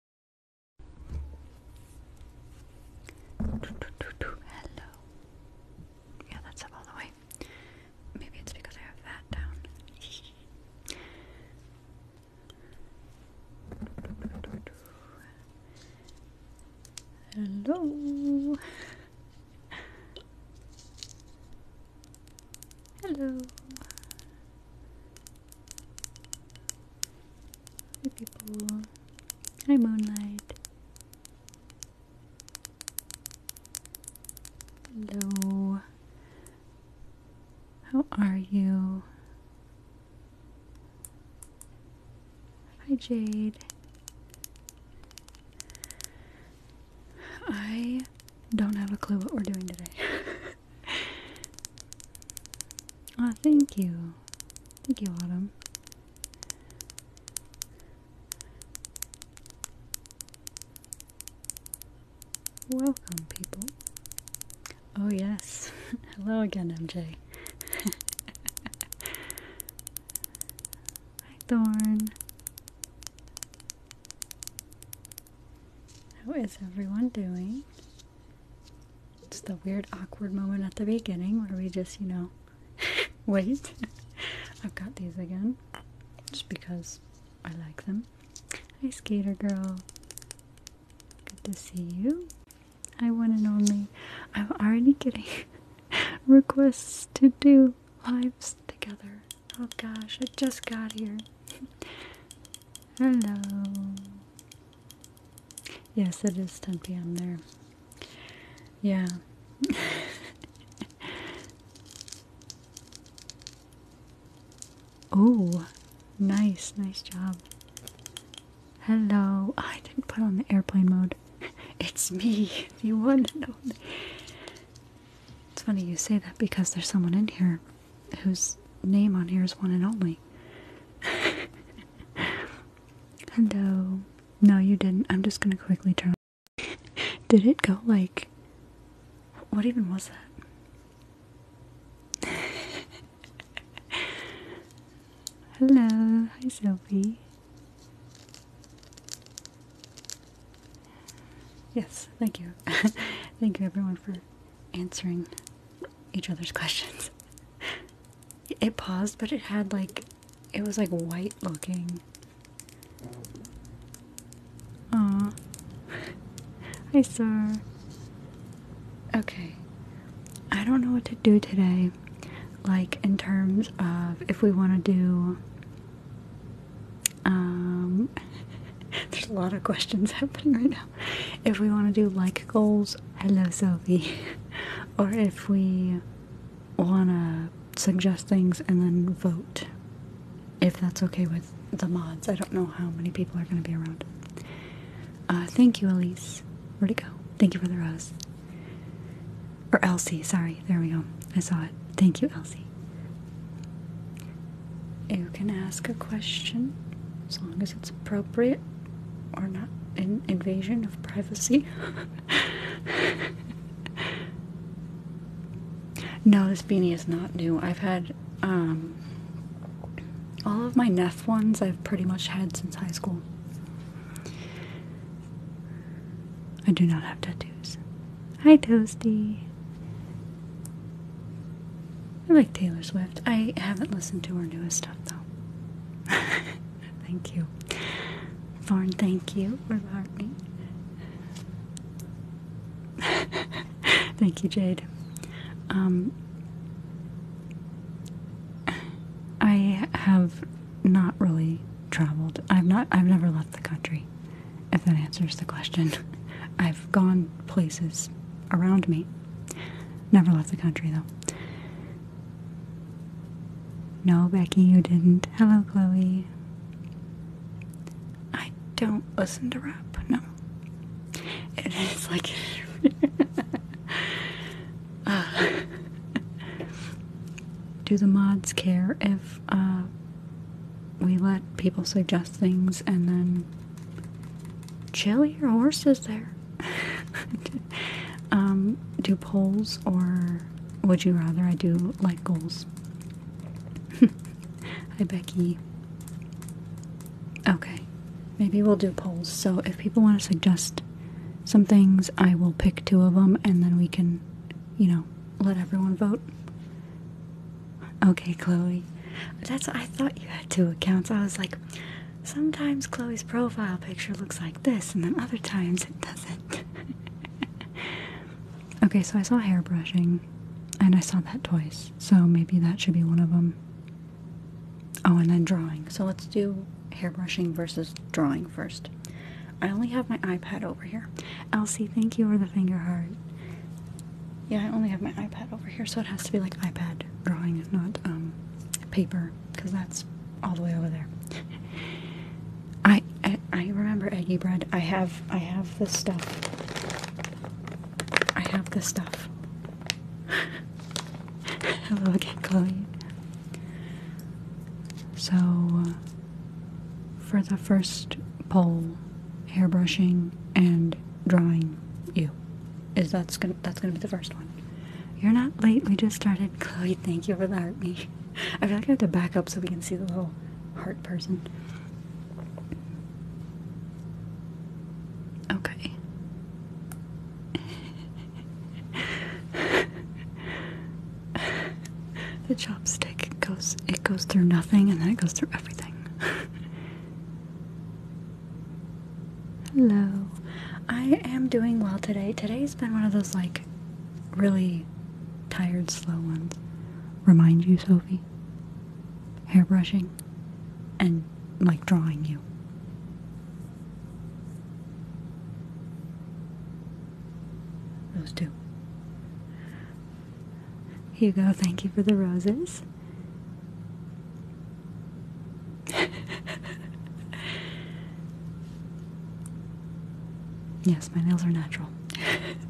Hello. Yeah, that's up all the way. Maybe it's because I have that down. Hello. Hello. Hi people. Hi Moonlight. Hello. How are you? Hi Jade. I don't have a clue what we're doing today. oh, thank you. Thank you, Autumn. Welcome, people. Oh, yes. Hello again, MJ. Hi, Thorn. How is everyone doing? It's the weird, awkward moment at the beginning where we just, you know, wait. I've got these again just because I like them. Hi, Skater Girl. Good to see you. Hi, one and only. I'm already getting requests to do lives together. Oh gosh, I just got here. Hello. Yes, it is 10 p.m. there. Yeah. oh, nice, nice job. Hello. Oh, I didn't put on the airplane mode. it's me. You wouldn't know. It's funny you say that because there's someone in here whose name on here is one and only. Hello. No, you didn't. I'm just gonna quickly turn. Did it go like. What even was that? Hello. Hi, Sophie. Yes, thank you. thank you everyone for answering each other's questions it paused, but it had like, it was like white looking. Aw. Hi, sir. Okay. I don't know what to do today. Like, in terms of if we want to do. Um. There's a lot of questions happening right now. if we want to do like goals, hello Sophie. or if we want to suggest things and then vote. If that's okay with the mods. I don't know how many people are going to be around. Uh, thank you, Elise. Where'd it go? Thank you for the rose. Or Elsie, sorry. There we go. I saw it. Thank you, Elsie. You can ask a question as long as it's appropriate or not an invasion of privacy. no, this beanie is not new. I've had um, all of my Neff ones I've pretty much had since high school. I do not have tattoos. Hi, Toasty. I like Taylor Swift. I haven't listened to her newest stuff though. thank you. Thorn, thank you for heartening. thank you, Jade. Um I have not really traveled. I've not I've never left the country, if that answers the question. I've gone places around me. Never left the country though. No, Becky, you didn't. Hello, Chloe. I don't listen to rap. No. It is like. Uh, do the mods care if uh, we let people suggest things and then chill your horses there? Um, do polls or would you rather I do like goals? Hi, Becky. Okay, maybe we'll do polls. So if people want to suggest some things, I will pick two of them and then we can, you know, let everyone vote. Okay, Chloe. That's I thought you had two accounts. I was like, Sometimes Chloe's profile picture looks like this, and then other times it doesn't. okay, so I saw hair brushing, and I saw that twice, so maybe that should be one of them. Oh, and then drawing. So let's do hair brushing versus drawing first. I only have my iPad over here. Elsie, thank you for the finger heart. Yeah, I only have my iPad over here, so it has to be like iPad drawing, not um, paper because that's all the way over there. I, I remember eggy bread. I have I have this stuff. I have this stuff. Hello again, Chloe. So uh, for the first poll, hairbrushing and drawing you is that's gonna that's gonna be the first one. You're not late. We just started. Chloe, thank you for the heart me. I feel like I have to back up so we can see the little heart person. Okay. the chopstick goes it goes through nothing and then it goes through everything. Hello. I am doing well today. Today's been one of those like really tired, slow ones. Remind you, Sophie. Hair brushing and like drawing you. Those two. Hugo, thank you for the roses. yes, my nails are natural.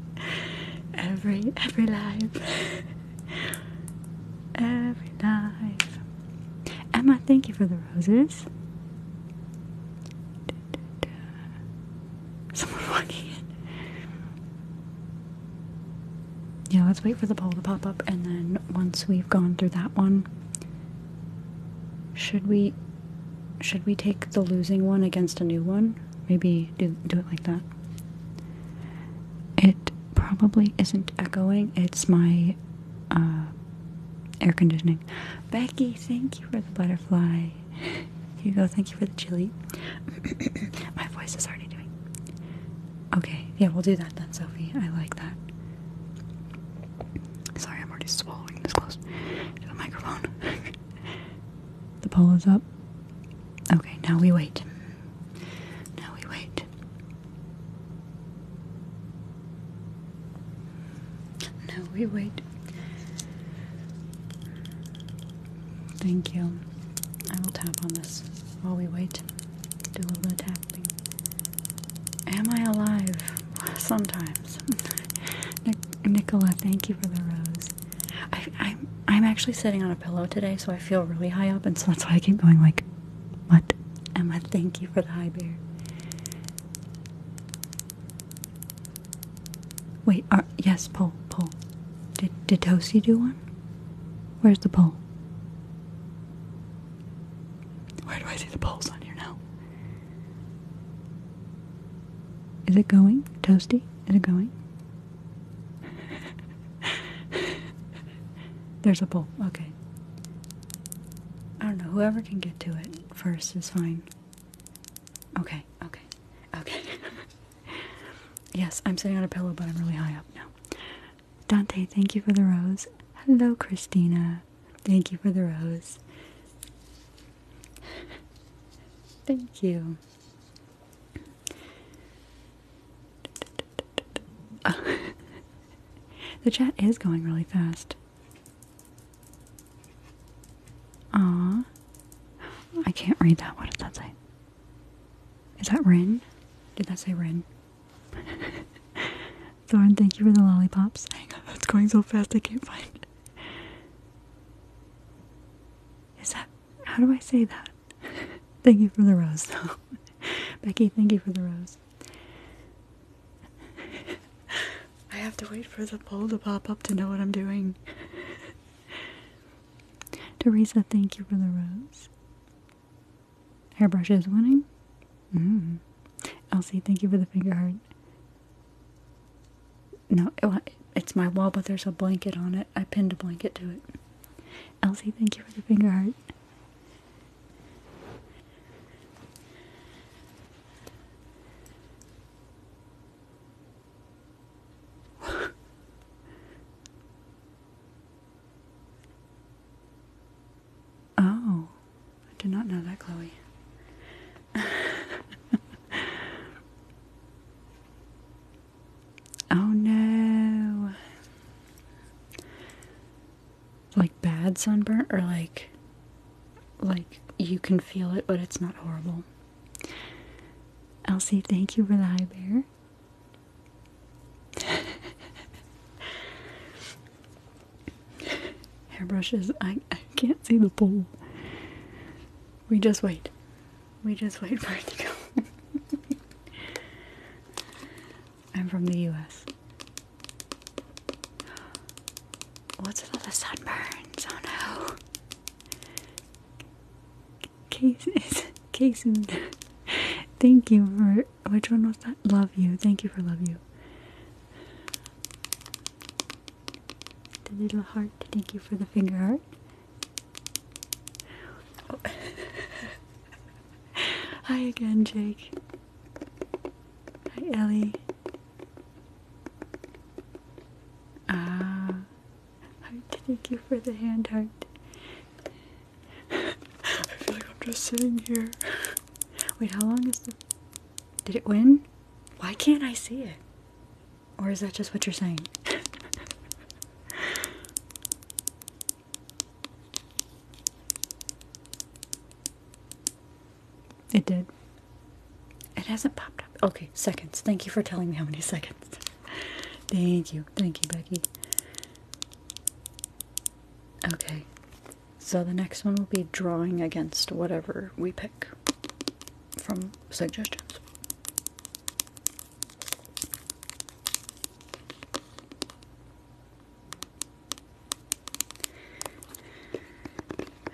every every life. every life. Emma, thank you for the roses. Someone walking in. Yeah, let's wait for the poll to pop up, and then once we've gone through that one, should we should we take the losing one against a new one? Maybe do do it like that. It probably isn't echoing. It's my uh, air conditioning. Becky, thank you for the butterfly. you go. thank you for the chili. my voice is already doing Okay, yeah, we'll do that then, Sophie. I like that. Sorry, I'm already swallowing this close to the microphone. the poll is up. Okay, now we wait. Now we wait. Now we wait. Thank you. I will tap on this while we wait. Do a little bit of tap. Am I alive? Sometimes. Nicola, thank you for the rose. I, am I'm actually sitting on a pillow today, so I feel really high up, and so that's why I keep going like, what? Emma, thank you for the high bear. Wait, are, yes, poll, poll. Did, did Tosi do one? Where's the pole? Where do I see the pulse on here now? Is it going? Toasty? Is it going? There's a pole. Okay. I don't know. Whoever can get to it first is fine. Okay, okay, okay. yes, I'm sitting on a pillow, but I'm really high up now. Dante, thank you for the rose. Hello, Christina. Thank you for the rose. thank you. the chat is going really fast. Aw. I can't read that. What does that say? Is that Rin? Did that say Rin? Thorn, thank you for the lollipops. Hang that's going so fast I can't find it. Is that how do I say that? thank you for the rose though. Becky, thank you for the rose. I have to wait for the poll to pop up to know what I'm doing. Teresa, thank you for the rose. Hairbrush is winning. Mm. Elsie, thank you for the finger heart. No, it's my wall, but there's a blanket on it. I pinned a blanket to it. Elsie, thank you for the finger heart. Oh, I do not know that, Chloe. oh no. Like bad sunburn or like like you can feel it but it's not horrible. Elsie, thank you for the high bear. Hairbrushes, I, I can't see the bowl. We just wait. We just wait for it to go. I'm from the US. What's with all the sunburns? Oh no. Case, Casey, thank you for which one was that? Love you. Thank you for love you. The little heart. Thank you for the finger heart. Hi again, Jake. Hi, Ellie. Ah, heart. Thank you for the hand heart. I feel like I'm just sitting here. Wait, how long is the. Did it win? Why can't I see it? Or is that just what you're saying? it did. It hasn't popped up. Okay, seconds. Thank you for telling me how many seconds. Thank you. Thank you, Becky. Okay. So the next one will be drawing against whatever we pick from suggestions.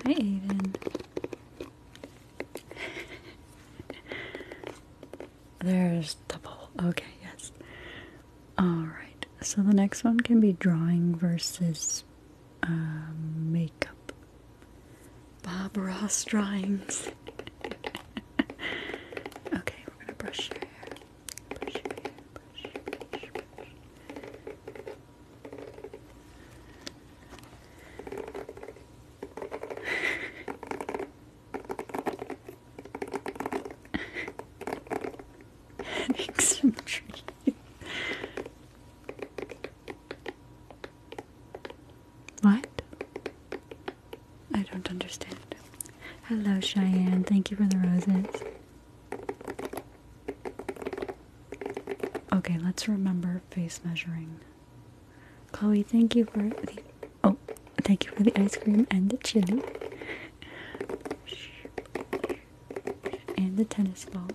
Hey, even. There's double. Okay, yes. Alright, so the next one can be drawing versus um, makeup. Bob Ross drawings. okay, we're gonna brush your hair. What? I don't understand. Hello, Cheyenne. Thank you for the roses. Okay, let's remember face measuring. Chloe, thank you for the oh, thank you for the ice cream and the chili and the tennis ball.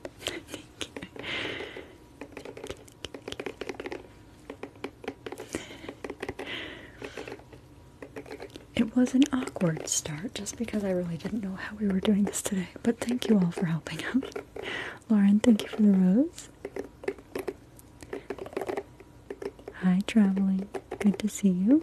It was an awkward start just because I really didn't know how we were doing this today, but thank you all for helping out. Lauren, thank you for the rose. Hi, traveling. Good to see you.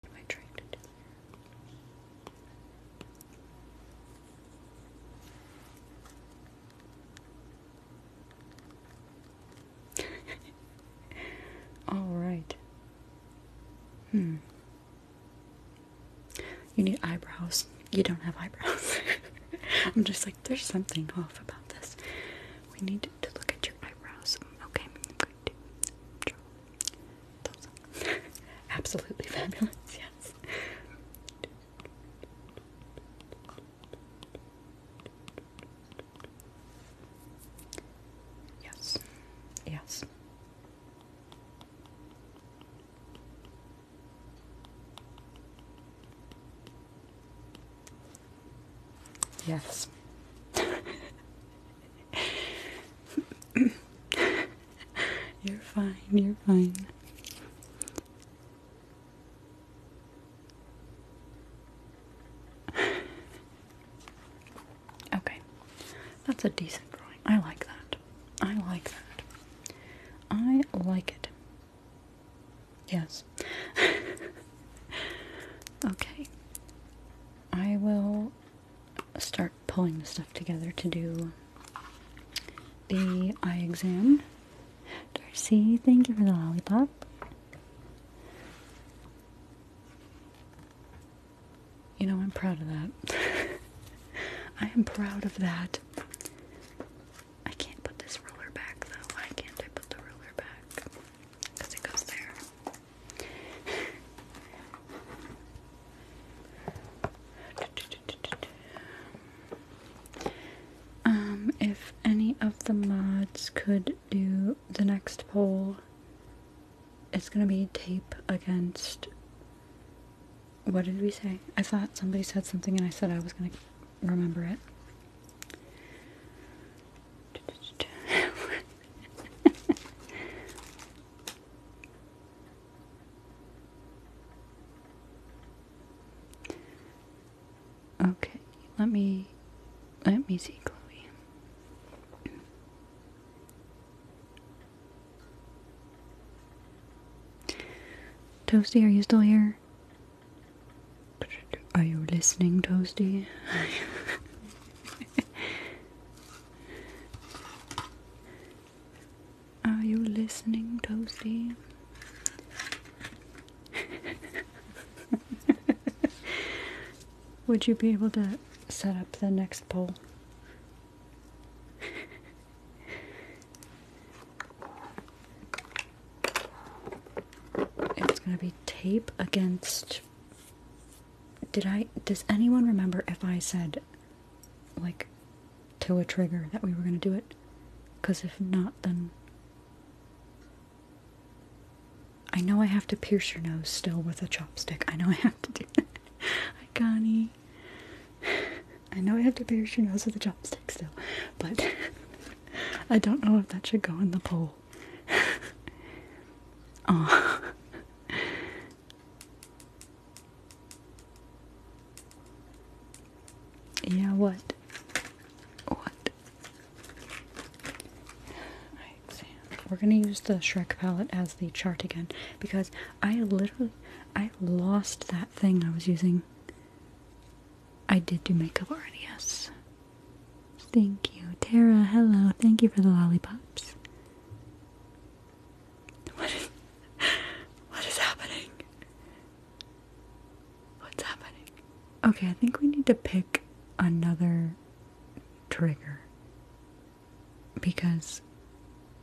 What am I trying to do All right. Hmm. You need eyebrows. You don't have eyebrows. I'm just like, there's something off about this. We need to look at your eyebrows. Okay, Absolutely fabulous, yes. Yes, yes. Yes. you're fine, you're fine. Okay that's a decent drawing. I like that. I like that. I like it. Yes. okay. I will start pulling the stuff together to do the eye exam. Darcy, thank you for the lollipop. You know, I'm proud of that. I am proud of that. I can't put this ruler back though. Why can't put the ruler back? Because it goes there. um, if any of the mods could do the next poll, it's gonna be tape against what did we say? I thought somebody said something and I said I was gonna remember it. okay, let me let me see Chloe. Toasty, are you still here? Are you listening, Toasty? Are you listening, Toasty? Would you be able to set up the next poll? it's gonna be tape against did I does anyone remember if I said like to a trigger that we were gonna do it? Cause if not then I know I have to pierce your nose still with a chopstick. I know I have to do that. Connie. I know I have to pierce your nose with a chopstick still, but I don't know if that should go in the poll. oh. Yeah, what? What? We're gonna use the Shrek palette as the chart again because I literally I lost that thing I was using. I did do makeup already, yes. Thank you. Tara, hello. Thank you for the lollipops. What is what is happening? What's happening? Okay, I think we need to pick another trigger because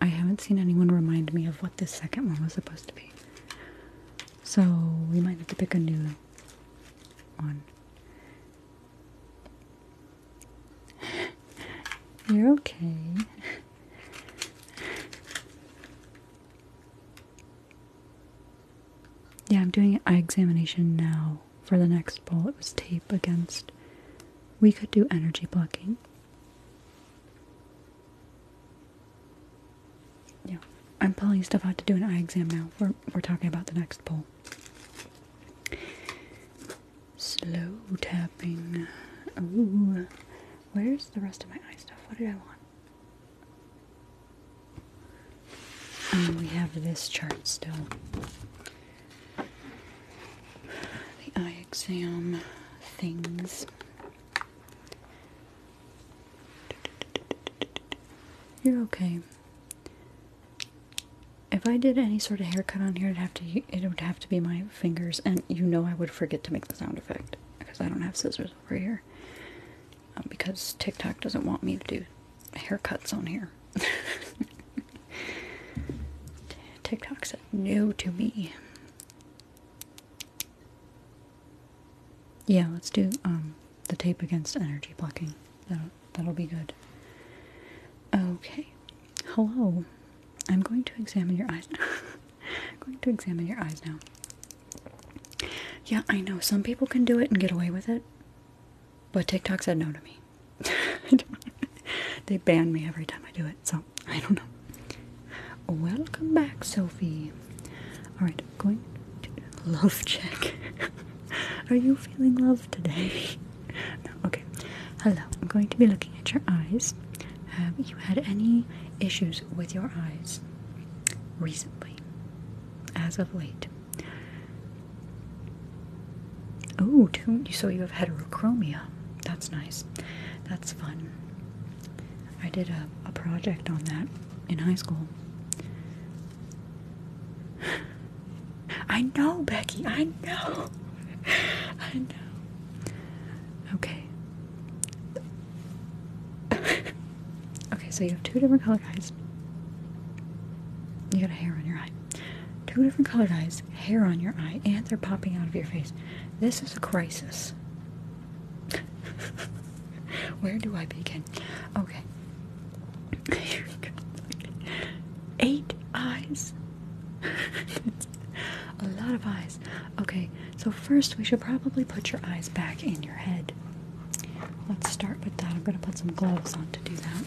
I haven't seen anyone remind me of what this second one was supposed to be. So we might have to pick a new one. You're okay. Yeah, I'm doing eye examination now for the next ball. It was tape against. We could do energy blocking. Yeah, I'm pulling stuff out to do an eye exam now. We're, we're talking about the next poll. Slow tapping. Ooh. Where's the rest of my eye stuff? What did I want? Um, we have this chart still the eye exam things. You're okay. If I did any sort of haircut on here, it'd have to it would have to be my fingers, and you know I would forget to make the sound effect because I don't have scissors over here. Um, because TikTok doesn't want me to do haircuts on here. TikTok said no to me. Yeah, let's do um, the tape against energy blocking. That'll, that'll be good. Okay. Hello. I'm going to examine your eyes. I'm going to examine your eyes now. Yeah, I know. Some people can do it and get away with it. But TikTok said no to me. they ban me every time I do it, so I don't know. Welcome back, Sophie. Alright, going to love check. Are you feeling love today? okay. Hello, I'm going to be looking at your eyes. Have you had any issues with your eyes recently? As of late? Oh, you so you have heterochromia that's nice. That's fun. I did a, a project on that in high school. I know, Becky. I know. I know. Okay. okay, so you have two different color eyes. You got a hair on your eye. Two different colored eyes hair on your eye and they're popping out of your face. This is a crisis. Where do I begin? Okay. Eight eyes. a lot of eyes. Okay, so first we should probably put your eyes back in your head. Let's start with that. I'm going to put some gloves on to do that.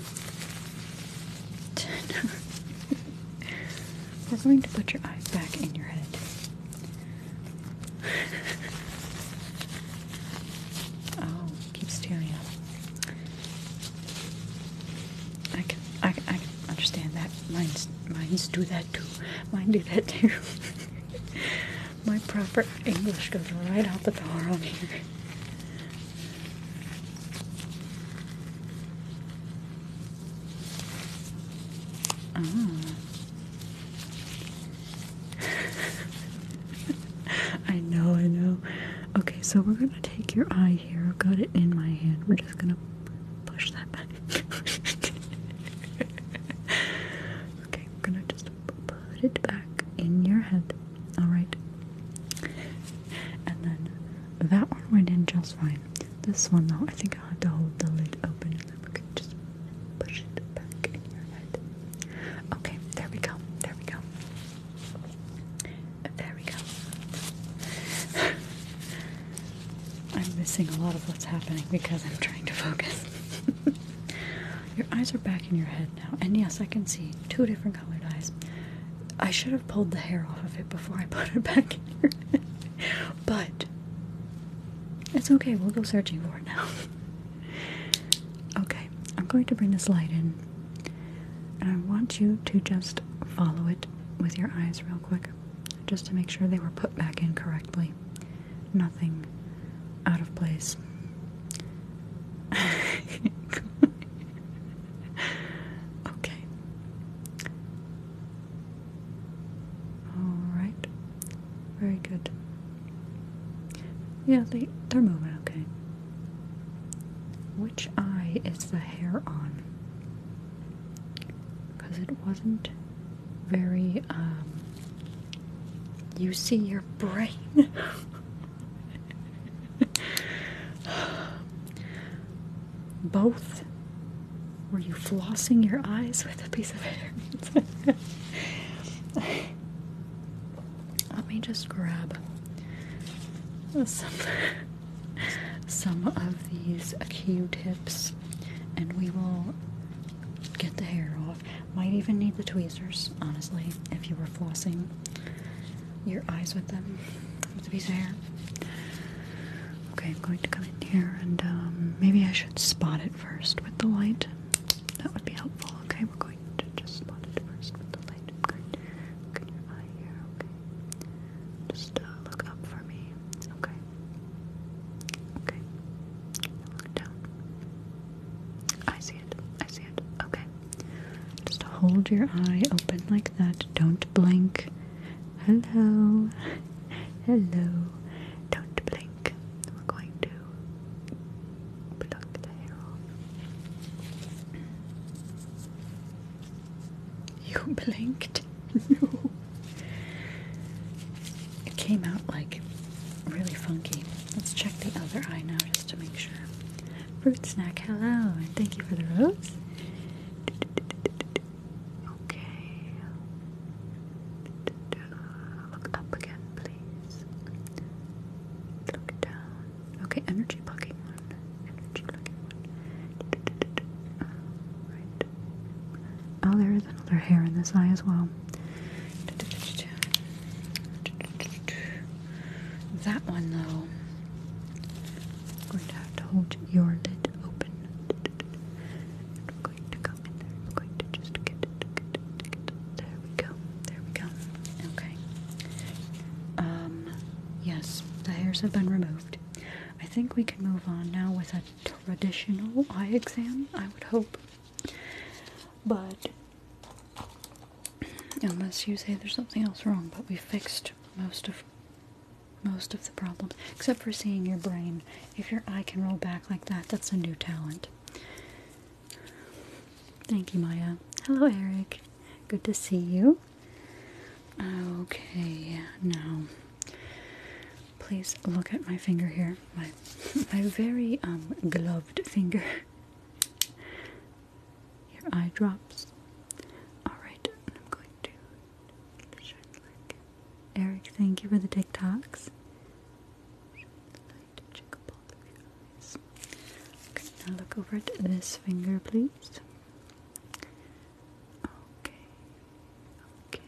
We're going to put your eyes back in your head. oh, keep staring up. I can, I can, I can understand that. Mine's, mine's do that too. Mine do that too. My proper English goes right out the door on here. Oh. I know, I know. Okay, so we're gonna take your eye here. I've got it in my hand. We're just gonna push that back. okay, we're gonna just put it back in your head. Alright. And then that one went in just fine. This one, though, I think to hold the lid open and then we can just push it back in your head. Okay, there we go. There we go. There we go. I'm missing a lot of what's happening because I'm trying to focus. your eyes are back in your head now. And yes, I can see two different colored eyes. I should have pulled the hair off of it before I put it back in your head. But it's okay, we'll go searching for it now. okay, I'm going to bring this light in. And I want you to just follow it with your eyes real quick, just to make sure they were put back in correctly. Nothing out of place. okay. Alright. Very good. Yeah, they, they're moving okay. Which eye is the hair on? Because it wasn't very, um, you see your brain. Both? Were you flossing your eyes with a piece of hair? Let me just grab some, some of these Q-tips and we will get the hair off. Might even need the tweezers, honestly, if you were flossing your eyes with them, with a piece of hair. Okay, I'm going to come in here and um, maybe I should spot it first with the light. That would be helpful. Okay, we're going to just spot it first with the light. Good. Look eye here. Okay. Just uh, look up for me. Okay. Okay. Look down. I see it. I see it. Okay. Just hold your eye open like that. Don't blink. Hello. Hello. Don't blink. We're going to pluck the hair You blinked? no. It came out like really funky. Let's check the other eye now just to make sure. Fruit snack, hello, and thank you for the rose. Okay. Look up again, please. Look down. Okay, energy blocking Oh, there is another hair in this eye as well. That one, though, going to have to hold your lid open we're going to go in there. We're going to just get There we go. There we go. Okay. Um. Yes, the hairs have been removed. I think we can move on now with a traditional eye exam. I would hope, but unless you say there's something else wrong. But we fixed most of most of the problems, except for seeing your brain. If your eye can roll back like that, that's a new talent. Thank you, Maya. Hello, Eric. Good to see you. Okay, now please look at my finger here, my my very um gloved finger. Your eye drops. All right, I'm going to shine Eric, thank you for the TikToks. Okay, now look over this finger, please. Okay. Okay.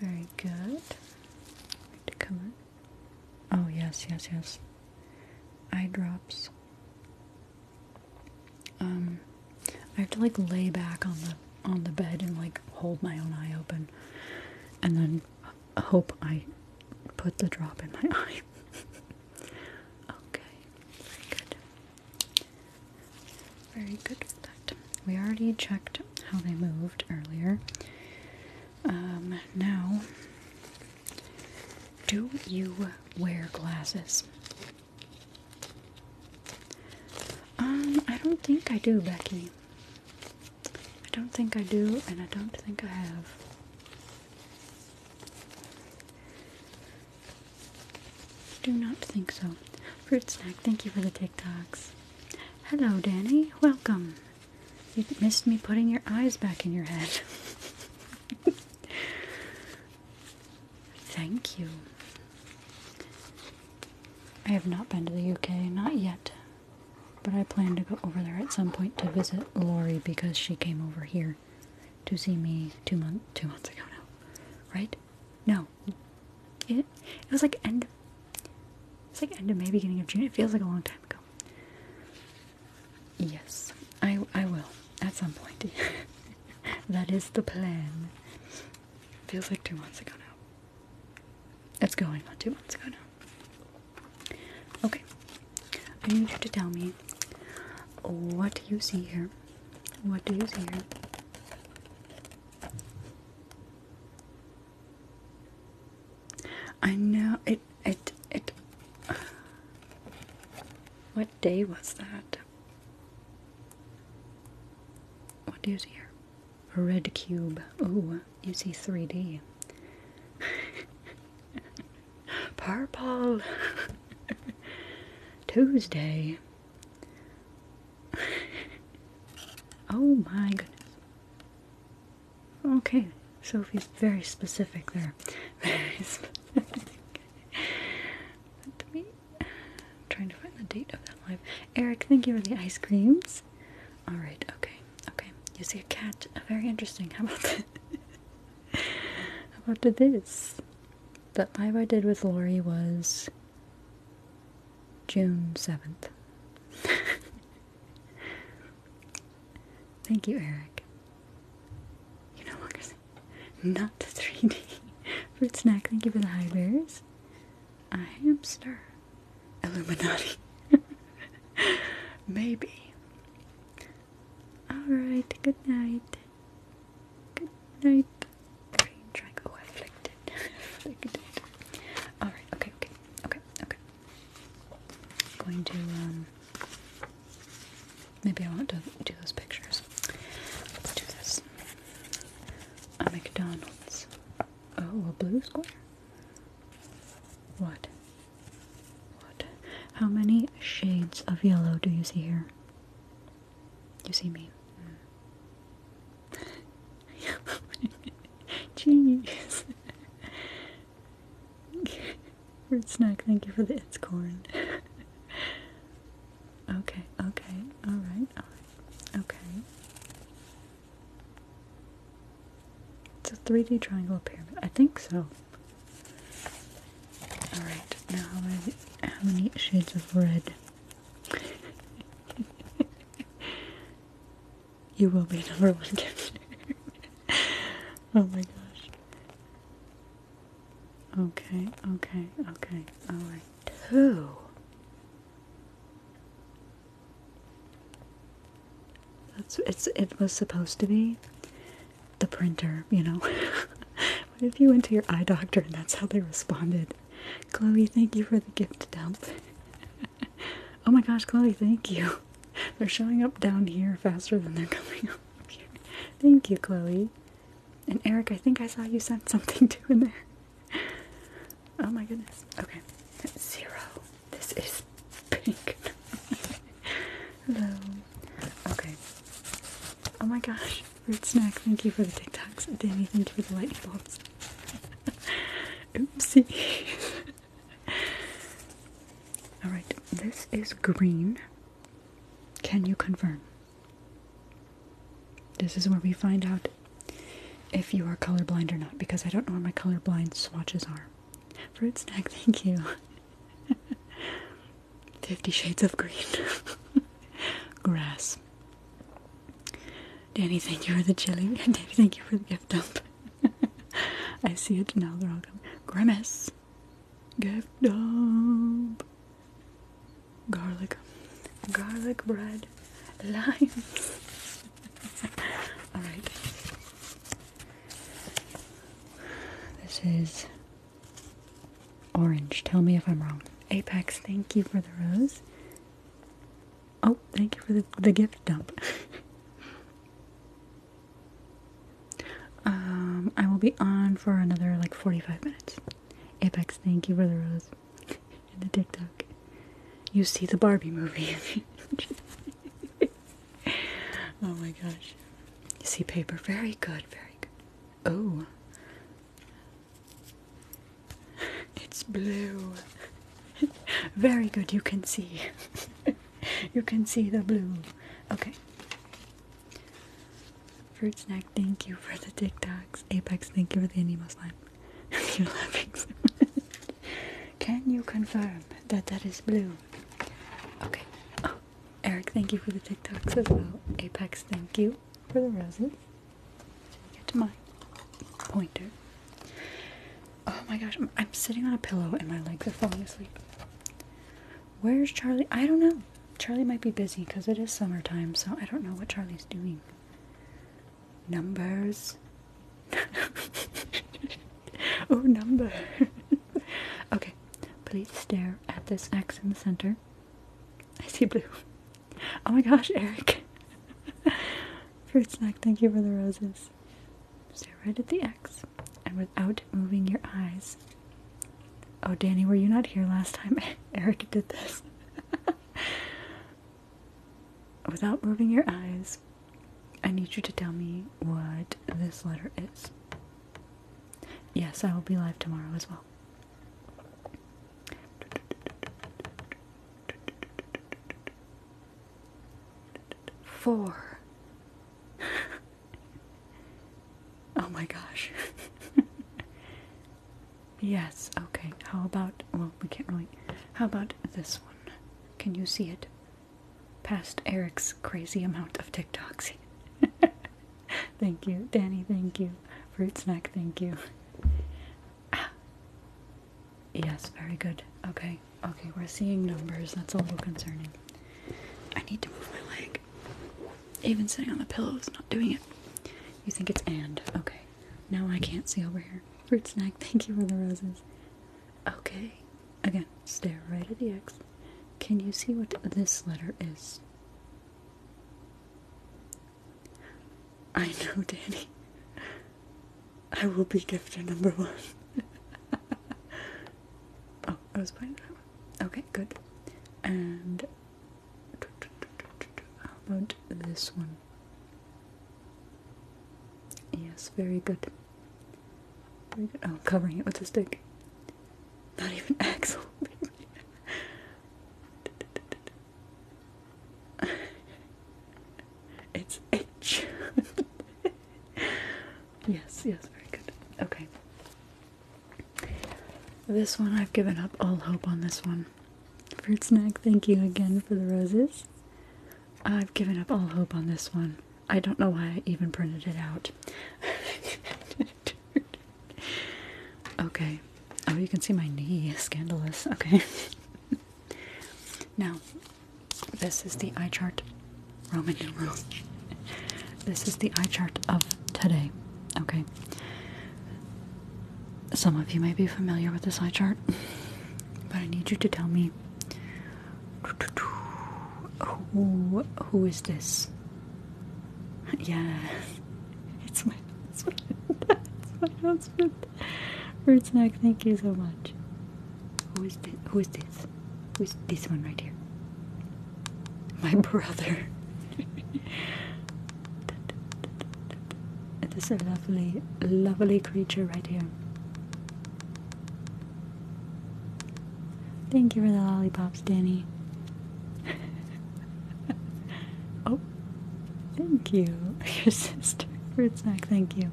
Very good. To cover. Oh yes, yes, yes. Eye drops. Um, I have to like lay back on the on the bed and like hold my own eye open, and then hope I put the drop in my eye. okay, very good. Very good with that. We already checked how they moved earlier. Um, now, do you wear glasses? Um, I don't think I do, Becky. I don't think I do, and I don't think I have. Do not think so. Fruit snack, thank you for the TikToks. Hello, Danny. Welcome. You missed me putting your eyes back in your head. Thank you. I have not been to the UK, not yet, but I plan to go over there at some point to visit Lori because she came over here to see me two month two months ago now, right? No, it it was like end. It's like end of May, beginning of June. It feels like a long time ago. Yes, I I will at some point. that is the plan. Feels like two months ago now. It's going on two months ago now. Okay. I need you to tell me what do you see here? What do you see here? I know it it it what day was that? What do you see here? A red cube. Oh, you see 3D. Purple. Tuesday. oh my goodness. Okay, Sophie's very specific there trying to find the date of that live. Eric, thank you for the ice creams. Alright, okay, okay. You see a cat. Very interesting. How about that? How about this? That live I did with Lori was June 7th. Thank you, Eric. You no longer sing not the 3D. Fruit snack, thank you for the high bears. A hamster. Illuminati. Maybe. Alright, good night. Good night. Alright, okay, okay, okay, okay. I'm going to, um, maybe I want to do, do those pictures. Let's do this. A McDonald's. Oh, a blue square? What? What? How many shades of yellow do you see here? You see me? Mm. Jeez. Fruit snack, thank you for the it's corn. okay, okay, alright, alright. Okay. It's a 3D triangle pyramid. I think so. Alright, now how many, how many shades of red? you will be number one gift. oh my gosh. Okay, okay, okay, alright two. That's it's it was supposed to be the printer, you know. what if you went to your eye doctor and that's how they responded? Chloe, thank you for the gift dump. oh my gosh, Chloe, thank you. They're showing up down here faster than they're coming up here. Thank you, Chloe. And Eric, I think I saw you sent something to in there oh my goodness. Okay. Zero. This is pink. Hello. Okay. Oh my gosh. Root snack. Thank you for the TikToks. Danny, thank you for the lightning bolts. Oopsie. Alright, this is green. Can you confirm? This is where we find out if you are colorblind or not, because I don't know where my colorblind swatches are. Fruit snack, thank you. Fifty Shades of Green. Grass. Danny, thank you for the chili. Danny, thank you for the gift dump. I see it now, they're all coming. Grimace. Gift dump garlic, garlic bread, lime. All right. This is orange. Tell me if I'm wrong. Apex, thank you for the rose. Oh, thank you for the, the gift dump. um, I will be on for another like 45 minutes. Apex, thank you for the rose. in the TikTok, you see the Barbie movie. oh my gosh. You see paper. Very good, very good. Oh. It's blue. Very good, you can see. you can see the blue. Okay. Fruit snack, thank you for the TikToks. Apex, thank you for the anemo slime. You're laughing Can you confirm that that is blue? Okay. Oh, Eric, thank you for the TikToks as well. Apex, thank you for the roses. Get to my pointer. Oh my gosh, I'm sitting on a pillow and my legs are falling asleep. Where's Charlie? I don't know. Charlie might be busy because it is summertime, so I don't know what Charlie's doing. Numbers. oh, number. okay, please stare at this X in the center. I see blue. Oh my gosh, Eric. Fruit snack, thank you for the roses. Stare right at the X and without moving your eyes. Oh, Danny, were you not here last time? Eric did this. Without moving your eyes, I need you to tell me what this letter is. Yes, I will be live tomorrow as well. Four. oh my gosh. Yes, okay. How about, well, we can't really. How about this one? Can you see it? Past Eric's crazy amount of TikToks. thank you, Danny, thank you. Fruit snack, thank you. Ah. Yes, very good. Okay, okay, we're seeing numbers. That's a little concerning. I need to move my leg. Even sitting on the pillow is not doing it. You think it's and. Okay. Now I can't see over here. Fruit snack, thank you for the roses. Okay. Again, stare right at the X. Can you see what this letter is? I know, Danny. I will be gifter number one. oh, I was playing that one. Okay, good. And how about this one? Yes, very good. I'm oh, covering it with a stick. Not even Axel. it's H. yes, yes, very good. Okay. This one, I've given up all hope on this one. Fruit Snack, thank you again for the roses. I've given up all hope on this one. I don't know why I even printed it out. okay. Oh, you can see my knee. Scandalous. Okay. now, this is the eye chart. Roman numerals. This is the eye chart of today. Okay. Some of you may be familiar with this side chart, but I need you to tell me who is this? Yeah, it's my husband. It's my husband. Snack, thank you so much. Who is this? Who is this? Who is this one right here? My brother. It is a lovely, lovely creature right here. Thank you for the lollipops, Danny. oh, thank you. fruit snack, thank you.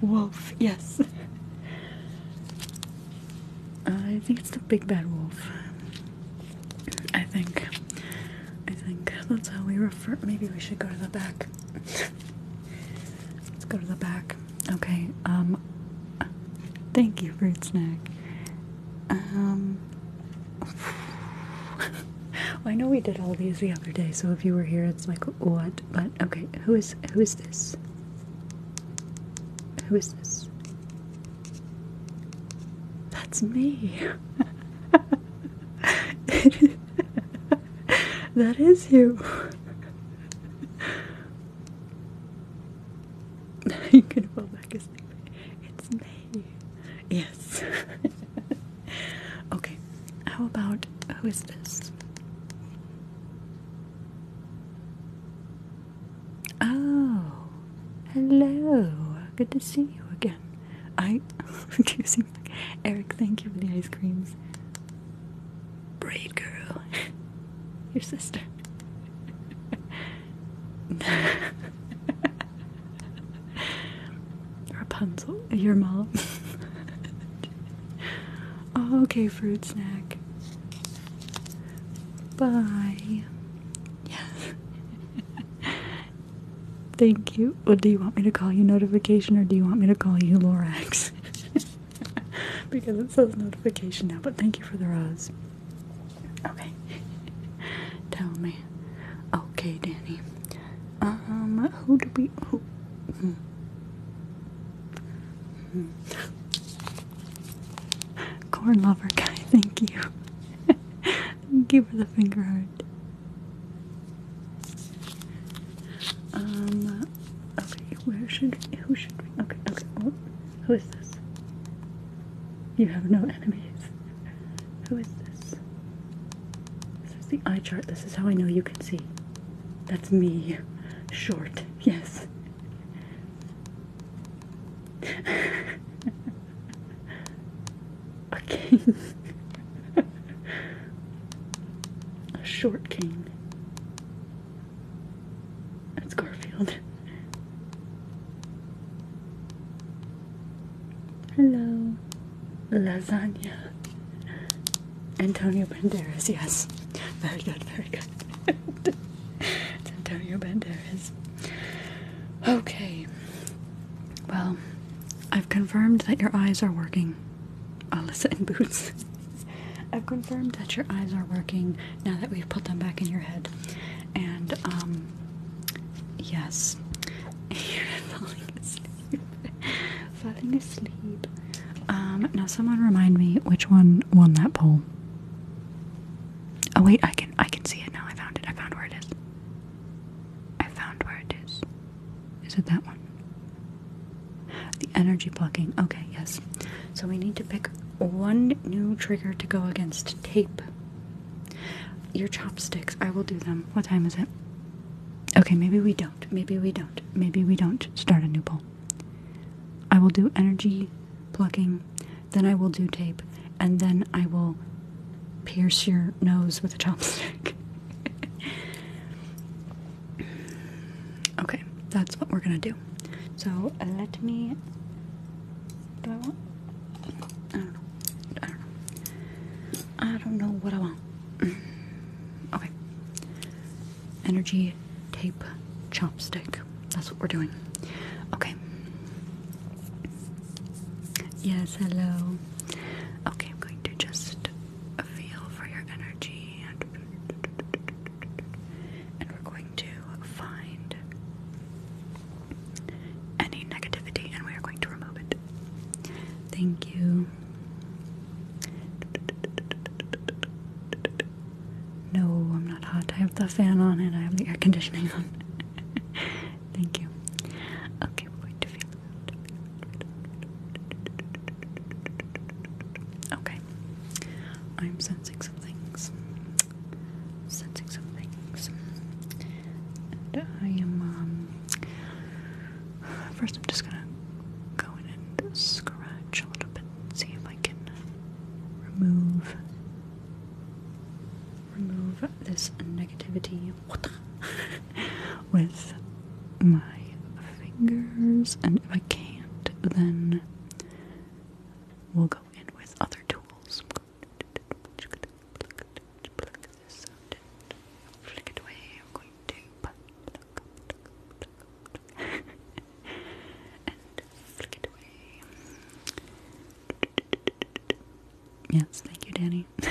Wolf, yes. I think it's the big bad wolf. I think. I think that's how we refer. Maybe we should go to the back. Let's go to the back. Okay. Um. Thank you, fruit snack. Um. I know we did all these the other day, so if you were here, it's like what? But okay, who is who is this? Who is this? That's me. that is you. you can fall back asleep. It's me. Yes. okay. How about who is this? Oh, hello. Good to see you again. I Eric, thank you for the ice creams. Braid girl. Your sister. Rapunzel, your mom. Oh, okay, fruit snack. Bye. Yes. Thank you. Well, do you want me to call you notification or do you want me to call you Lorax? because it says notification now, but thank you for the rose. Okay. Tell me. Okay, Danny. Um, who do we. Who? Hmm. Hmm. Corn lover guy, thank you. Give her the finger um, okay, where should who should we, okay, okay, oh, who is this? You have no enemies. Who is this? This is the eye chart. This is how I know you can see. That's me. Short. Yes. A king. A short king. That's Garfield. Hello. Lasagna. Antonio Banderas, yes. Very good, very good. Antonio Banderas. Okay. Well, I've confirmed that your eyes are working. Alyssa and Boots. I've confirmed that your eyes are working now that we've put them back in your head. And, um, yes. You're falling asleep. falling asleep. Um, now someone remind me which one won that poll. Oh wait, I can I can see it now. I found it. I found where it is. I found where it is. Is it that one? The energy plucking. Okay, yes. So we need to pick one new trigger to go against tape. Your chopsticks, I will do them. What time is it? Okay, maybe we don't. Maybe we don't. Maybe we don't start a new poll. I will do energy plucking, then I will do tape, and then I will pierce your nose with a chopstick. okay, that's what we're gonna do. So let me. Do I want? don't know. I don't know. I don't know what I want. okay. Energy tape chopstick. That's what we're doing. Okay. Yes, hello. Okay, I'm going to just feel for your energy and we're going to find any negativity and we are going to remove it. Thank you. No, I'm not hot. I have the fan on and I have the air conditioning on. Thank you. Okay, we're going to feel Okay. I'm sensing some things. Sensing some things. And I am, um, First, I'm just gonna go in and scratch a little bit and see if I can remove. Remove this negativity with my fingers, and if I can't, then we'll go in with other tools. Yes, thank you, Danny.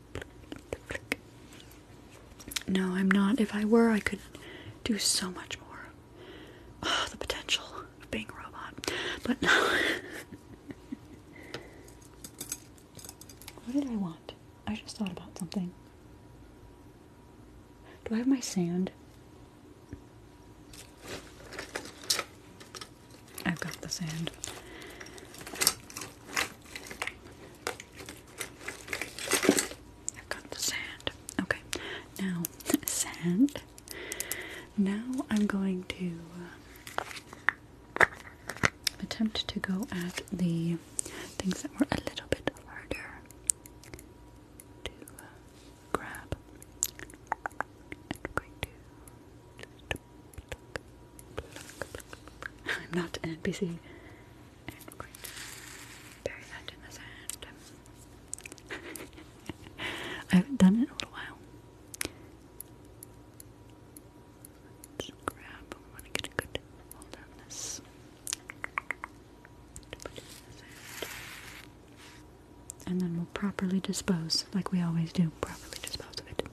No, I'm not. If I were, I could do so much more. Ah, the potential of being a robot. But no. what did I want? I just thought about something. Do I have my sand? I've got the sand. I've got the sand. Okay, now sand. Now I'm going to uh, attempt to go at the things that were a little bit harder to uh, grab. I'm going to I'm not an NPC. I haven't done it in a little while. Let's grab, I want get a good hold on this. And then we'll properly dispose, like we always do, properly dispose of it.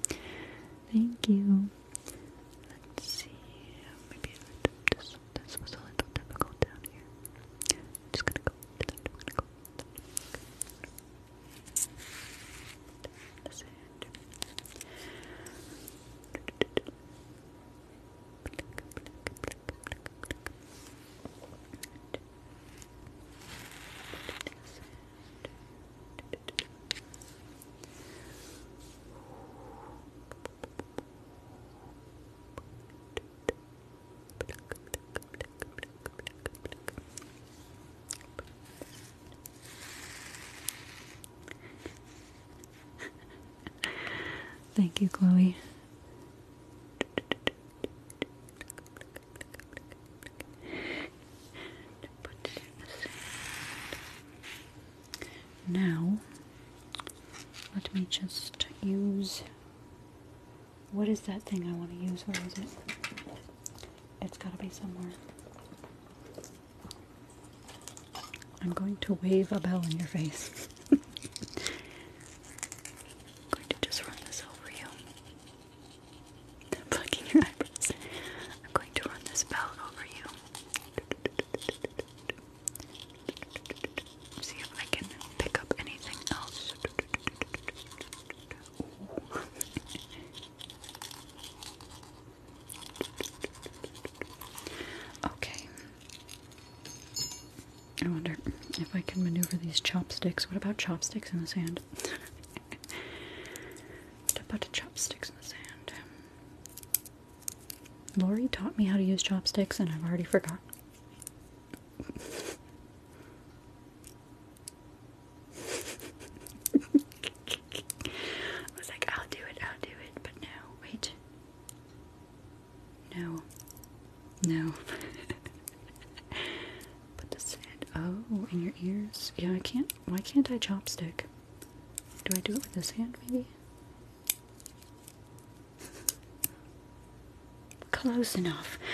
Thank you. Let's see, maybe this, this was a little difficult down here. just gonna go to that, I'm Thank you, Chloe. Now, let me just use. What is that thing I want to use? Where is it? It's gotta be somewhere. I'm going to wave a bell in your face. I'm going to just run this over you. plucking your eyebrows. I'm going to run this bell over you. See if I can pick up anything else. okay. I wonder if I can maneuver these chopsticks. What about chopsticks in the sand? what about chopsticks in the sand? Lori taught me how to use chopsticks, and I've already forgotten. I was like, I'll do it, I'll do it, but no, wait. No. No. Put this in. Oh, in your ears. Yeah, I can't. Why can't I chopstick? Do I do it with this hand, maybe? Close enough.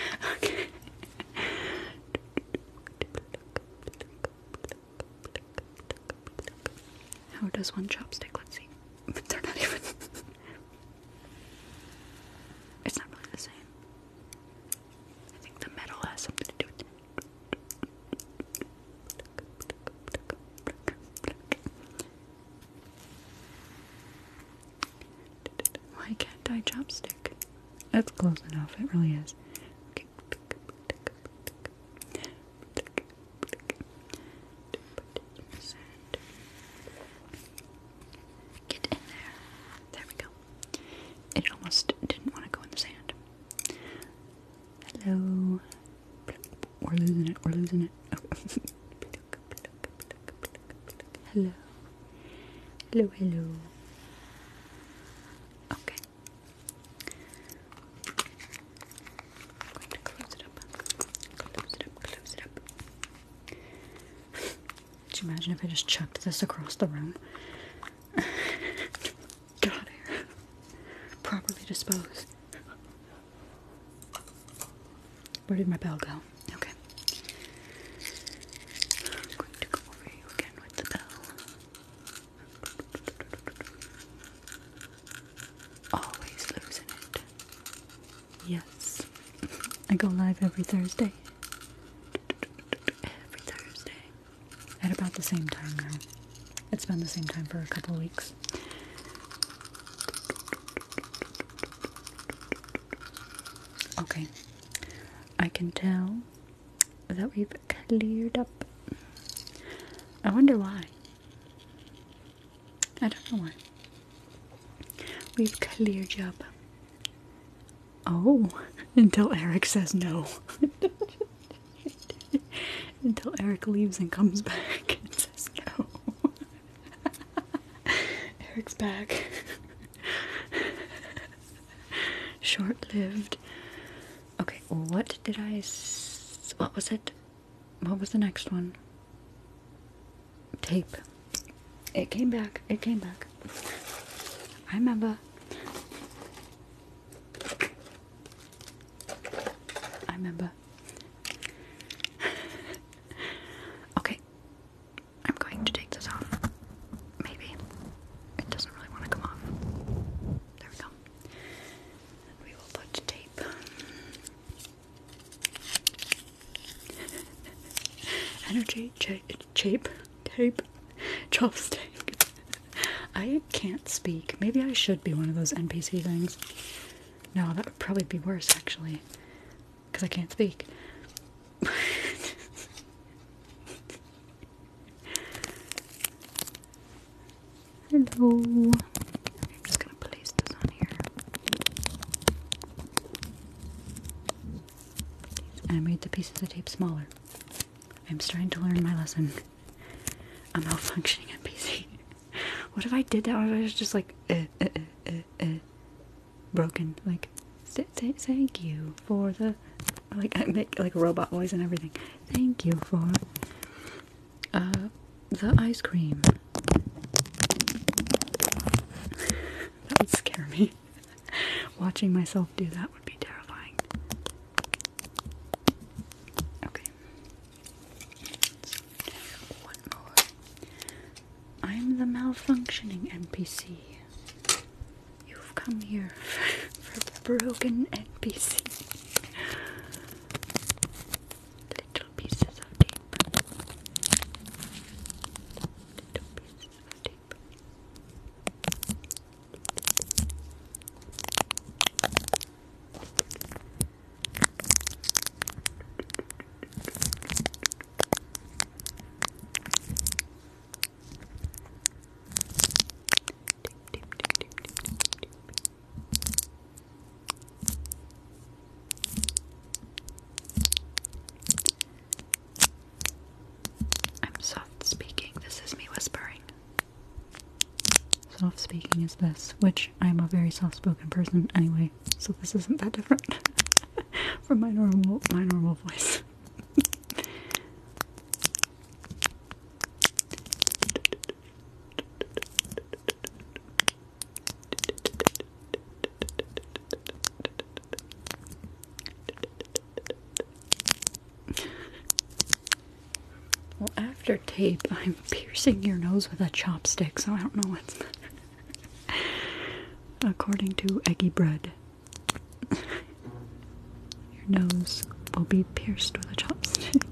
How does one chopstick? Let's see. they're not even. it's not really the same. I think the metal has something to do with it. Why can't I chopstick? That's close enough, it really is. Get in there. There we go. It almost didn't want to go in the sand. Hello. We're losing it. We're losing it. hello. Hello, hello. Okay. I'm going to close it up. Close it up. Close it up. Could you imagine if I just chucked this across the room? Get out here. Properly disposed. Where did my bell go? Okay. going to go over you again with the bell. Always losing it. Yes. I go live every Thursday. Every Thursday at about the same time now. It's been the same time for a couple weeks. Okay, I can tell that we've cleared up. I wonder why. I don't know why. We've cleared up. Oh, until Eric says no. Until Eric leaves and comes back and says no. Eric's back. Short lived. Okay, what did I? what was it? What was the next one? Tape. It came back. It came back. I remember. I remember. okay. I'm going to take this off. Maybe. It doesn't really want to come off. There we go. We will put tape. Energy, cha tape, tape, chopstick. I can't speak. Maybe I should be one of those NPC things. No, that would probably be worse actually. Because I can't speak. Hello. I'm just gonna place this on here. I made the pieces of tape smaller. I'm starting to learn my lesson. I'm malfunctioning on PC. what if I did that? I was just like uh, uh, uh, broken? Like thank you for the like I make like robot voice and everything. Thank you for the ice cream. that would scare me. Watching myself do that would be terrifying. Okay. one more. I'm the malfunctioning NPC. You've come here for broken NPC. Little pieces of tape. Little pieces of tape. I'm soft speaking. This is me whispering soft speaking is this, which I'm a very soft spoken person anyway, so this isn't that different from my normal my normal voice well, after tape, I'm piercing your nose with a chopstick, so I don't know what's. According to Eggy Bread, your nose will be pierced with a chopstick.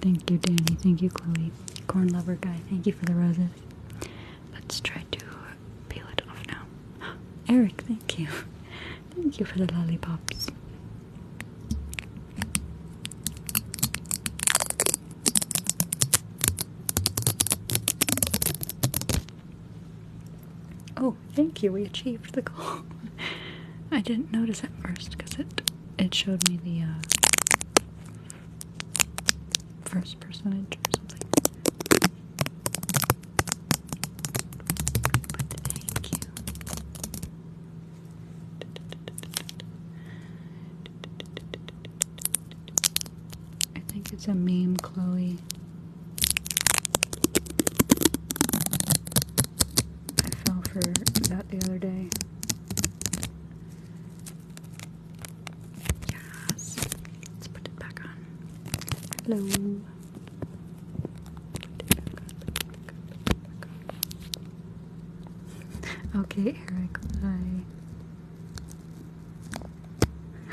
Thank you, Danny. Thank you, Chloe. Corn lover guy. Thank you for the roses. Let's try to peel it off now. Eric, thank you. Thank you for the lollipops. Oh, thank you. We achieved the goal. I didn't notice at first because it it showed me the uh, first percentage or something. But thank you. I think it's a meme, Chloe. I fell for that the other day. Yes. Let's put it back on. Hello. Okay, Eric, bye.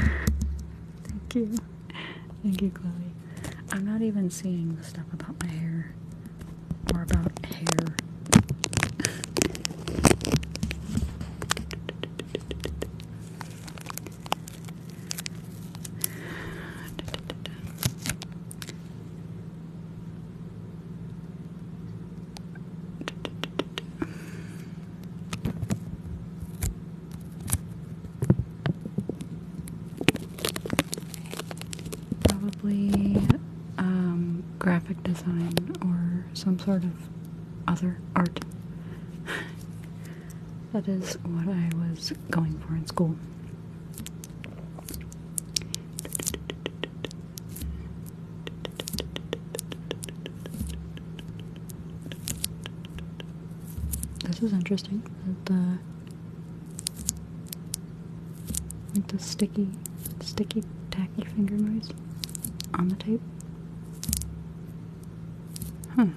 Thank you. Thank you, Chloe. I'm not even seeing the stuff about my hair or about hair. Probably um, graphic design or some sort of other art. That is what I was going for in school. This is interesting. The the sticky, sticky, tacky finger noise on the tape. Huh.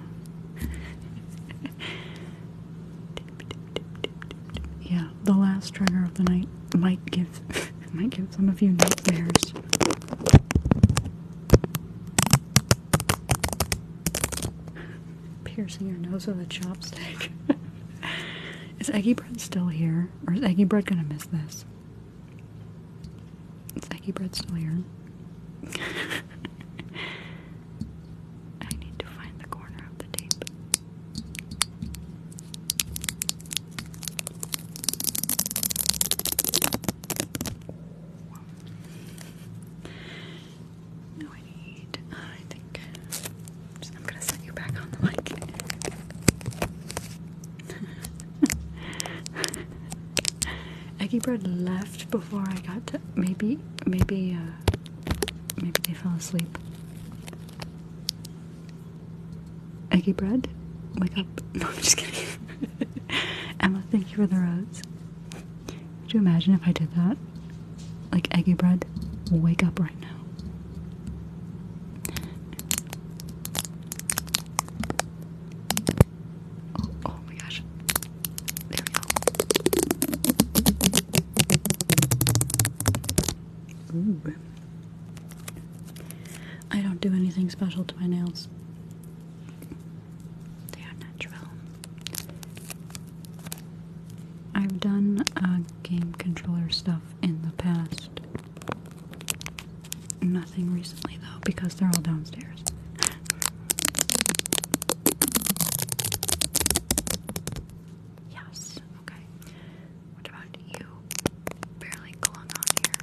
yeah, the last trigger of the night might give might give some of you nightmares. Piercing your nose with a chopstick. is Eggy Bread still here? Or is Eggy Bread gonna miss this? Is Eggy Bread still here? I need to find the corner of the tape. No, I need. I think I'm gonna set you back on the mic. bread left before I got to maybe maybe uh, maybe they fell asleep. Eggie bread, wake up. No, I'm just kidding. Emma, thank you for the rose. Would you imagine if I did that? Like eggy bread, wake up right now. Oh, oh my gosh. There we go. I don't do anything special to my nails. They are natural. I've done uh, game controller stuff in the past. Nothing recently though because they're all downstairs. Yes, okay. What about you? Barely clung on here.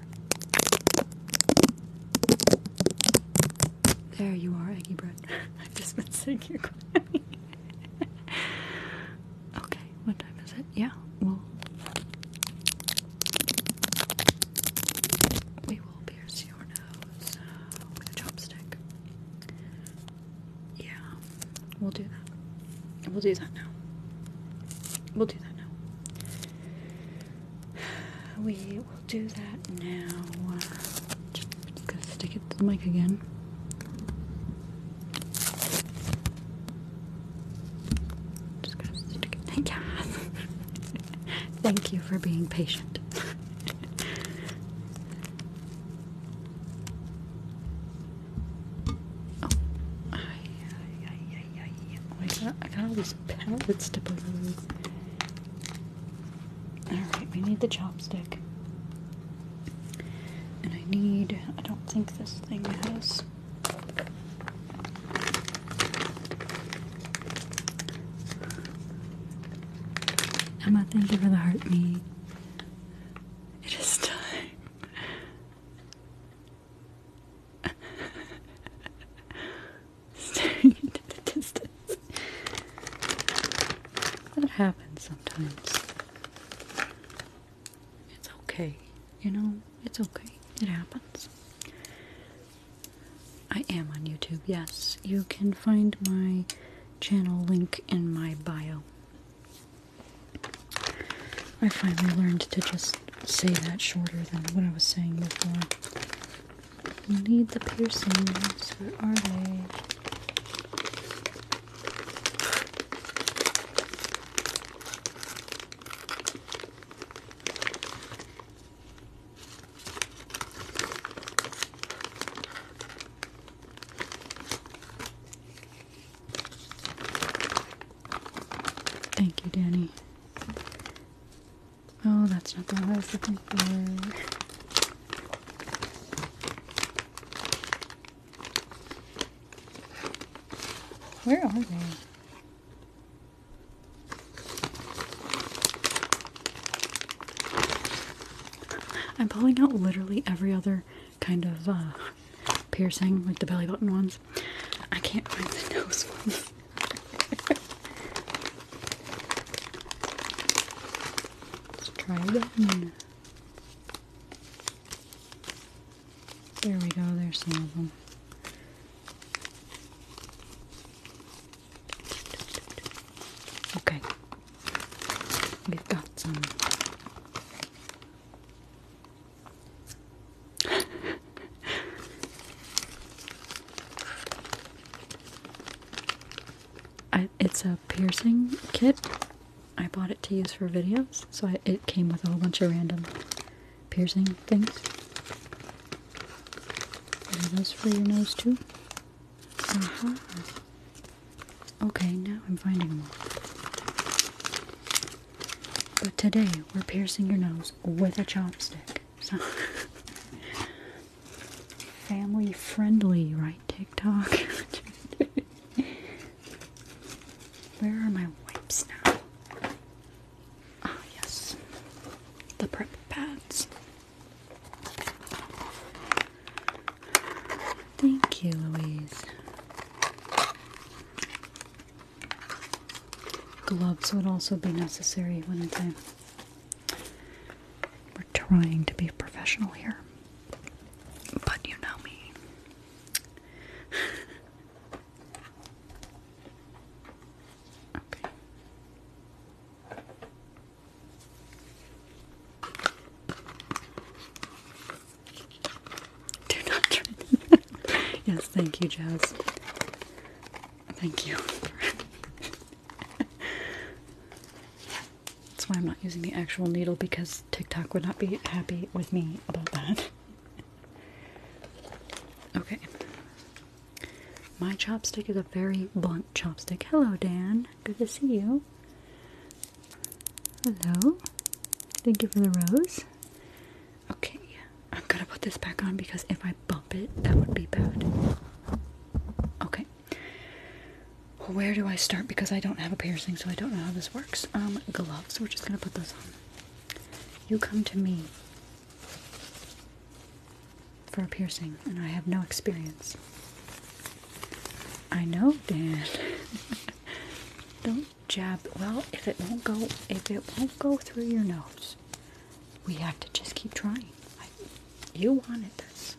There you are, Eggy Bread. I've just been You're crying. okay, what time is it? Yeah, we We will be pierce your nose uh, with a chopstick. Yeah, we'll do that. We'll do that now. We'll do that now. We will do that now. Just gonna stick it to the mic again. Just gonna stick it. Thank you. Thank you for being patient. oh, I, I, I, I, I got, I got all these pallets to put Alright, we need the chopstick. And I need, I don't think this thing has. I'm not thinking for the heart me. It is time. Staring into the distance. That happens sometimes. It's okay, you know, it's okay. It happens. I am on YouTube, yes. You can find my channel link in my bio. I finally learned to just say that shorter than what I was saying before. You need the piercings. Where are they? Thank you, Danny. Oh, that's not the one I was looking for. Where are they? I'm pulling out literally every other kind of uh, piercing, like the belly button ones. I can't find the nose ones. Let's try again. There we go, there's some of them. Okay. We've got some. it's a piercing kit. I bought it to use for videos, so it came with a whole bunch of random piercing things. those for your nose too? Mm-hmm. Okay, now I'm finding more. But today we're piercing your nose with a chopstick. So family friendly, right? TikTok. Where are my wipes now? Ah, yes. The prep pads. Thank you, Louise. Gloves would also be necessary when the time. We're trying to be professional here, but you know me. Do not turn yes, thank you, Jazz. Thank you. That's why I'm not using the actual needle because TikTok would not be happy with me about that. okay, my chopstick is a very blunt chopstick. Hello, Dan. Good to see you. Hello. Thank you for the rose. Okay, I'm gonna put this back on because if I bump it, that would be bad. Okay. Well, where do I start? Because I don't have a piercing, so I don't know how this works. Um, gloves. We're just gonna put those on. You come to me for a piercing, and I have no experience. I know, Dan. Don't jab. Well, if it won't go, if it won't go through your nose, we have to just keep trying. I, you wanted this.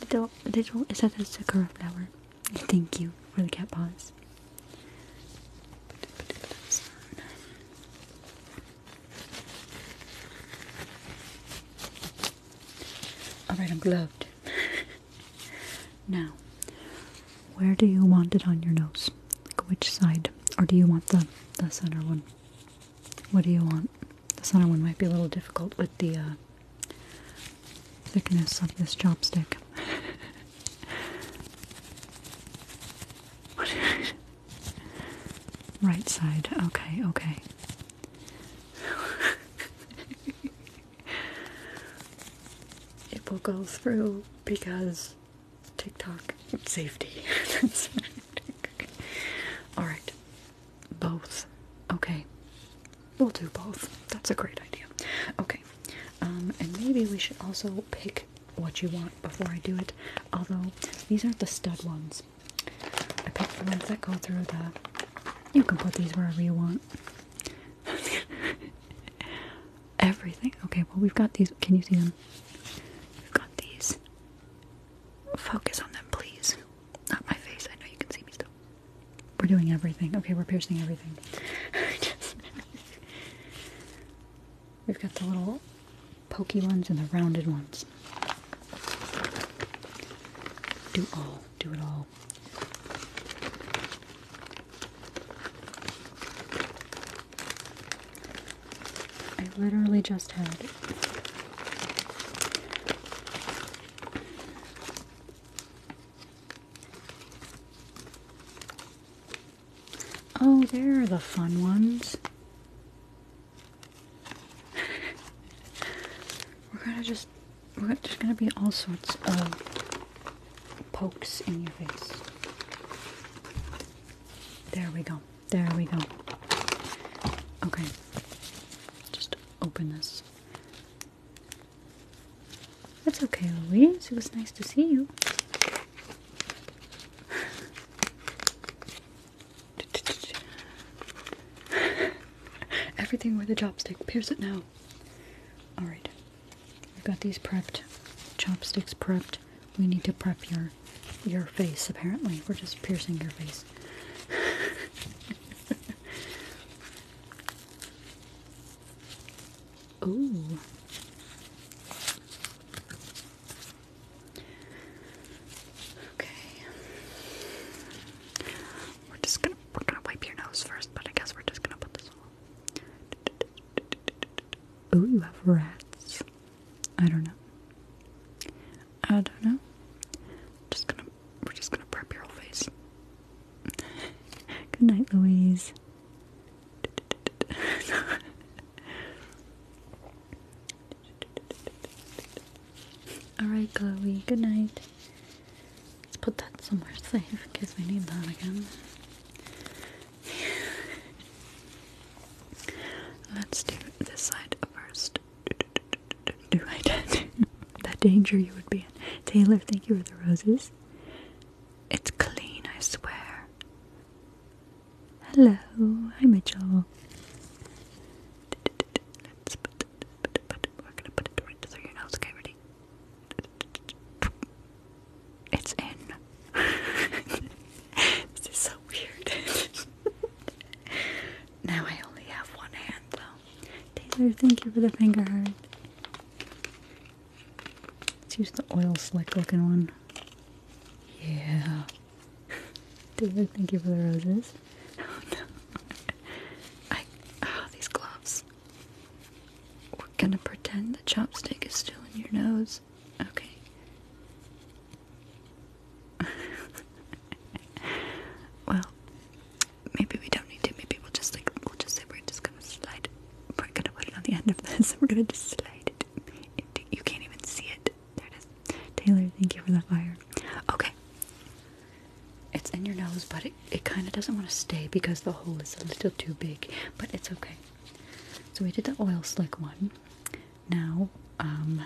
Little, little, is that a sakura flower? Thank you for the cat paws. All right, I'm gloved. now, where do you want it on your nose? which side? Or do you want the, the center one? What do you want? The center one might be a little difficult with the uh, thickness of this chopstick. Right side. Okay, okay. it will go through because TikTok safety. All right. Both. Okay. We'll do both. That's a great idea. Okay. Um, and maybe we should also pick what you want before I do it. Although these aren't the stud ones, I picked the ones that go through the. You can put these wherever you want. Everything. Okay, well, we've got these. Can you see them? We've got these. Focus on them, please. Not my face. I know you can see me still. We're doing everything. Okay, we're piercing everything. We've got the little pokey ones and the rounded ones. Do all, do it all. I literally just had Oh, there are the fun ones we're gonna just there's gonna be all sorts of pokes in your face. There we go. There we go. Okay. Just open this. That's okay, Louise. It was nice to see you. Everything with a chopstick. Pierce it now. Alright. We've got these prepped. Chopsticks prepped. We need to prep your your face apparently. We're just piercing your face. Ooh. Okay. We're just gonna we're gonna wipe your nose first, but I guess we're just gonna put this on. Ooh, you have rats. I don't know. I don't know. Just gonna we're just gonna prep your whole face. Good night, Louise. Alright, Chloe, good night. Let's put that somewhere safe in case we need that again. Let's do this side first. Do I did that danger you would be in. Taylor, thank you for the roses. It's clean, I swear. Hello, hi Mitchell we're gonna put it right through your nose. Okay, ready? It's in. this is so weird. now I only have one hand though. Taylor, thank you for the finger heart. Let's use the oil slick looking one. Yeah. David, thank you for the roses. no. I ah, these gloves. gonna pretend the chopstick is still in your nose. Okay. well, maybe we don't need to. Maybe we'll just like we'll just say we're just gonna slide. We're gonna put it on the end of this. We're gonna just slide it you can't even see it. There it is. Taylor, thank you for the fire. Okay. It's in your nose, but it, it kind of doesn't want to stay because the hole is a little too big, but it's okay. So we did the oil slick one. Now, um,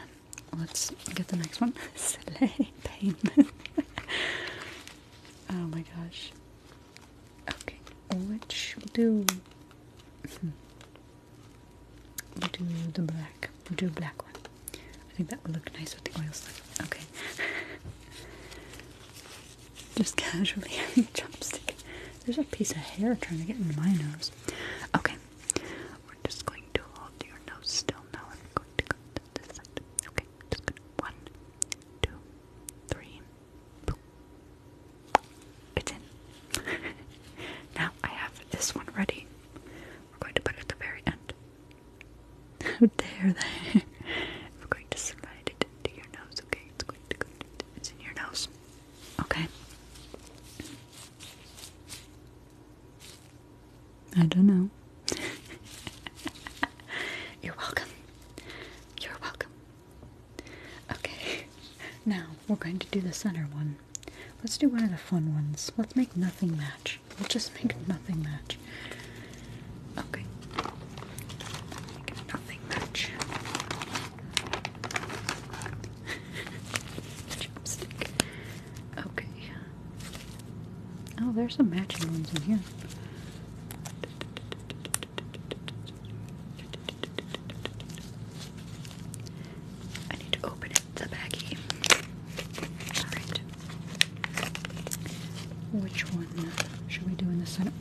let's get the next one. oh my gosh. Okay, which will do. Hmm we'll do the black. do a black one. I think that would look nice with the oil slick. Okay. Just casually having a chopstick. There's a piece of hair trying to get into my nose. Okay. We're just going to hold your nose still now. I'm going to go Okay. One, two, three. It's in. now I have this one ready. We're going to put it at the very end. How dare they? We're going to slide it into your nose, okay? It's going to go it's in your nose. Okay. I don't know. You're welcome. You're welcome. Okay. Now we're going to do the center one. Let's do one of the fun ones. Let's make nothing match. We'll just make nothing match. Okay. nothing match. Chopstick. Okay. Oh, there's some matching ones in here. I need to open the a baggie. Which one should we do in the center?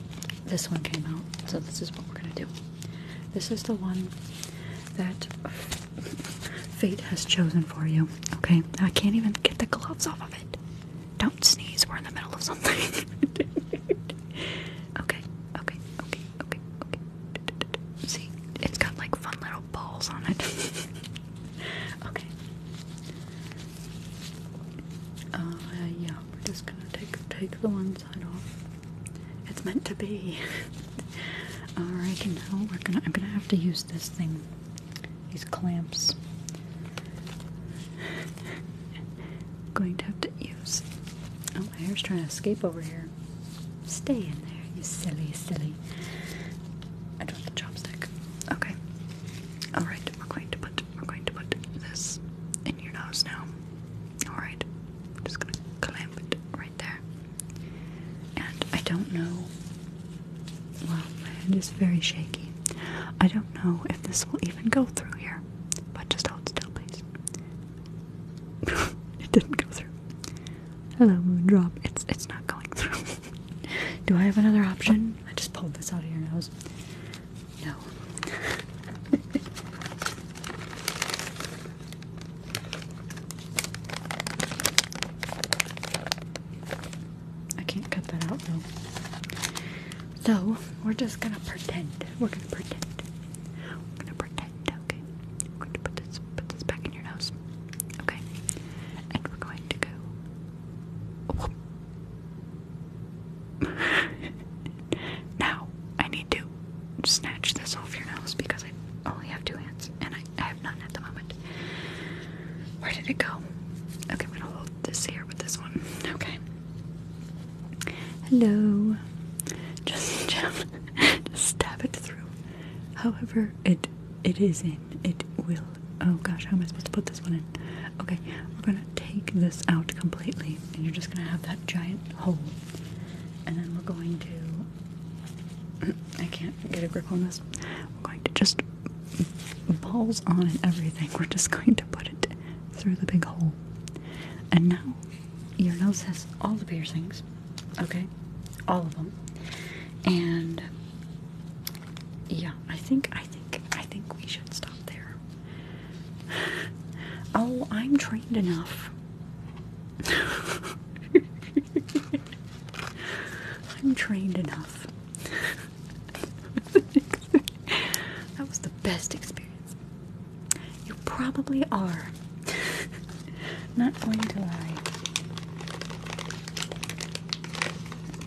This one came out, so this is what we're gonna do. This is the one that fate has chosen for you. Okay? I can't even get the gloves off of it. Don't sneeze, we're in the middle of something. okay, okay, okay, okay, okay. See, it's got like fun little balls on it. Okay. Uh, yeah, we're just gonna take take the one side off. It's meant to be. Alright, now we're gonna I'm gonna have to use this thing. These clamps. Going to have to use. Oh, my hair's trying to escape over here. Stay in there, you silly, silly. I dropped the chopstick. Okay. Alright, we're going to put we're going to put this in your nose now. Alright. I'm just gonna clamp it right there. And I don't know well, my hand is very shaky. I don't know if this will even go through here. But just hold still, please. it didn't go through. Hello, Moondrop. It's it's not going through. Do I have another option? I just pulled this out of your nose. No. I can't cut that out though. So, we're just gonna pretend. We're gonna pretend. We're gonna pretend, okay? We're going to put this, put this back in your nose. Okay? and we're going to go. now, I need to snatch this off your nose because I only have two hands and I, have none at the moment. Where did it go? Okay, I'm gonna hold this here with this one. Okay. Hello. Just, just stab it through. However, it it is in. It will. Oh gosh, how am I supposed to put this one in? Okay, we're gonna take this out completely, and you're just gonna have that giant hole. And then we're going to. I can't get a grip on this. We're going to just balls on and everything. We're just going to put it through the big hole. And now your nose has all the piercings. Okay, all of them and yeah, I think I think I think we should stop there. Oh, I'm trained enough. I'm trained enough. that was the best experience. You probably are. Not going to lie.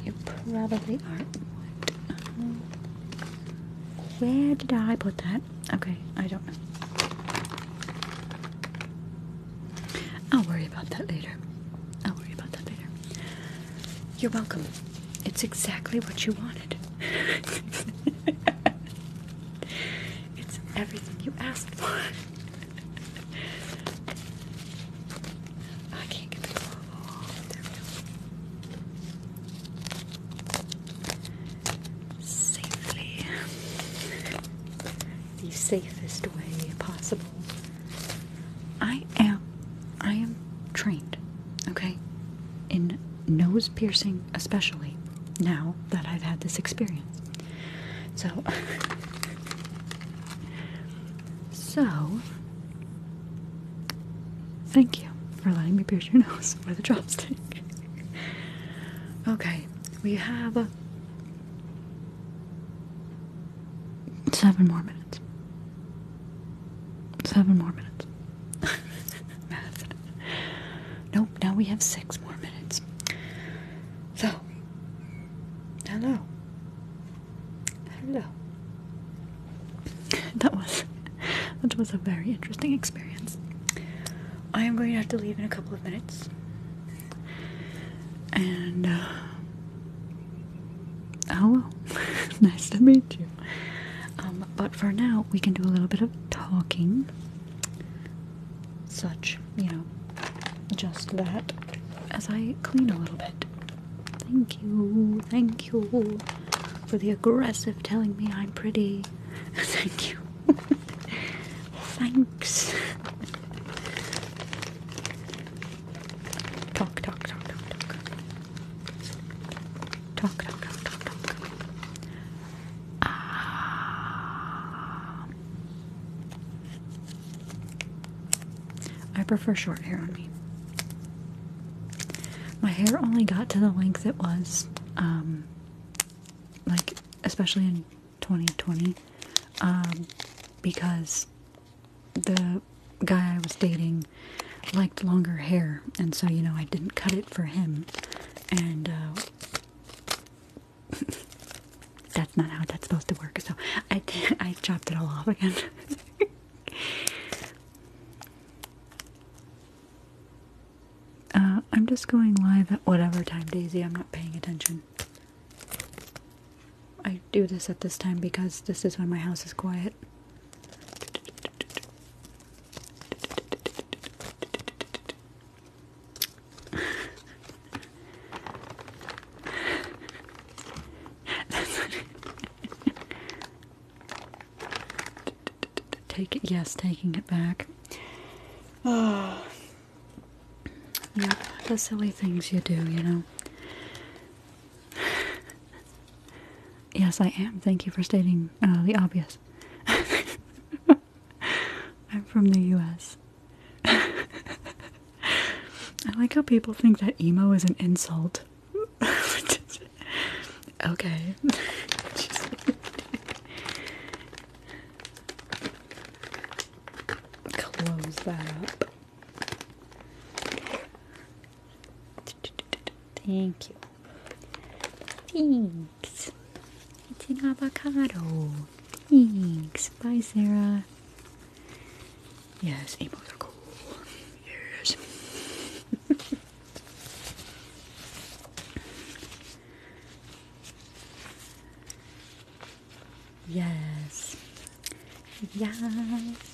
You probably aren't. Where did I put that? Okay, I don't know. I'll worry about that later. I'll worry about that later. You're welcome. It's exactly what you wanted. it's everything you asked for. I can't get the off. Safely. the safest way possible. I am I am trained, okay? In nose piercing especially now that I've had this experience. So, so thank you for letting me pierce your nose with a chopstick. okay, we have seven more minutes. Seven more minutes. Nope, now we have six more minutes. So, hello. Hello. That was that was a very interesting experience. I am going to have to leave in a couple of minutes, and hello, uh, oh nice to meet you. Um, but for now, we can do a little bit of talking, such you know, just that as I clean a little bit. Thank you, thank you for the aggressive telling me I'm pretty. thank you. Thanks. Talk, talk, talk, talk, talk. Talk, talk, talk, talk, talk. Ah. I prefer short hair on me. My hair only got to the length it was, um, like, especially in 2020, um, because the guy I was dating liked longer hair, and so, you know, I didn't cut it for him. And, uh, that's not how that's supposed to work. So I I chopped it all off again. Uh, I'm just going live at whatever time, Daisy. I'm not paying attention. I do this at this time because this is when my house is quiet. Take it, yes, taking it back. Oh, yep, the silly things you do, you know. Yes, I am. Thank you for stating uh, the obvious. I'm from the U.S. I like how people think that emo is an insult. okay. Close that up. Thank you. Thanks. It's an avocado. Thanks. Bye, Sarah. Yes, emos are cool. Yes. yes. Yes.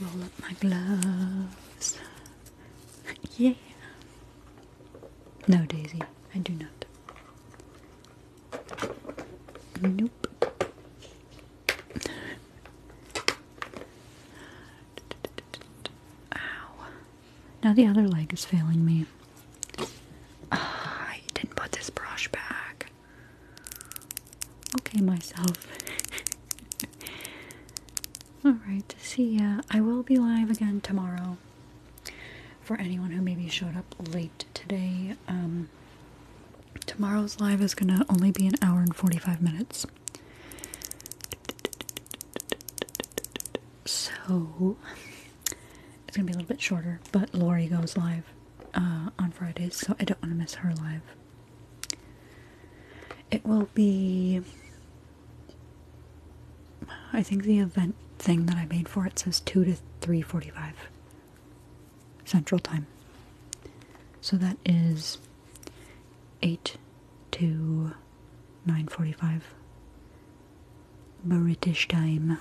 Roll up my gloves. yeah. No, Daisy, I do not. Nope. Ow. Now the other leg is failing me. Uh, I didn't put this brush back. Okay, myself. Alright, see ya. I will be live again tomorrow for anyone who maybe showed up late today, um, tomorrow's live is going to only be an hour and 45 minutes. So it's going to be a little bit shorter, but Lori goes live uh, on Fridays, so I don't want to miss her live. It will be. I think the event thing that I made for it says 2 to 345. Central Time. So that is 8 to 9.45 British time.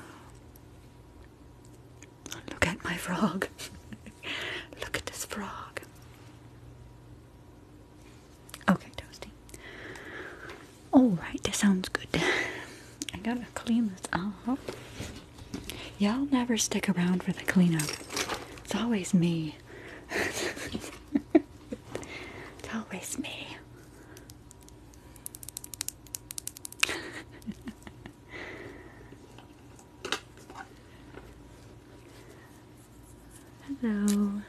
Look at my frog. Look at this frog. Okay, Toasty. Alright, that sounds good. I gotta clean this up. Y'all never stick around for the cleanup. It's always me. it's always me. Hello.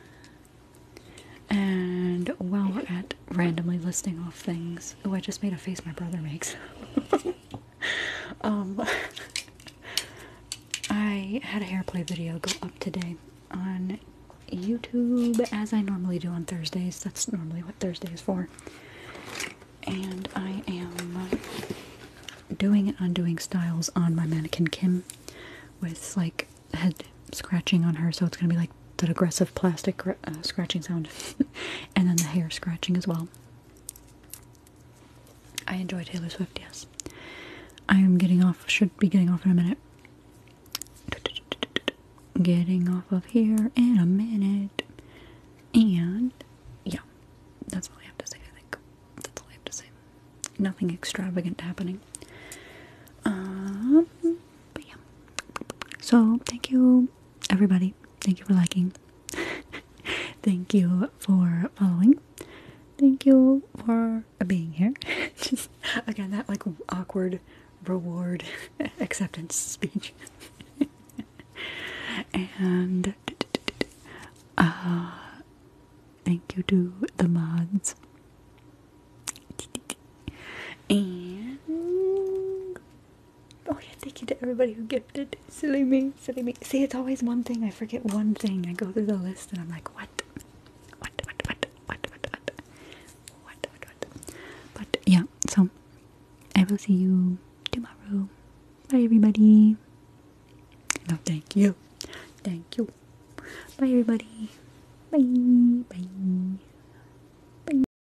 And while we're at randomly listing off things. Oh, I just made a face my brother makes. um, I had a hair play video go up today on YouTube, as I normally do on Thursdays. That's normally what Thursday is for. And I am doing and undoing Styles on my mannequin Kim with like head scratching on her, so it's gonna be like that aggressive plastic uh, scratching sound, and then the hair scratching as well. I enjoy Taylor Swift, yes. I am getting off, should be getting off in a minute. Getting off of here in a minute. And yeah, that's all I have to say, I think. That's all I have to say. Nothing extravagant happening. Um, but yeah. So, thank you everybody, thank you for liking. thank you for following. Thank you for being here. Just again, that like awkward reward acceptance speech. and uh, thank you to the mods. And Oh yeah, thank you to everybody who gifted. Silly me, silly me. See, it's always one thing. I forget one thing. I go through the list and I'm like, what? What, what, what, what, what, what? What, what, what? But yeah, so I will see you tomorrow. Bye, everybody. No, thank you. Thank you. Bye, everybody. Bye. Bye. Bye.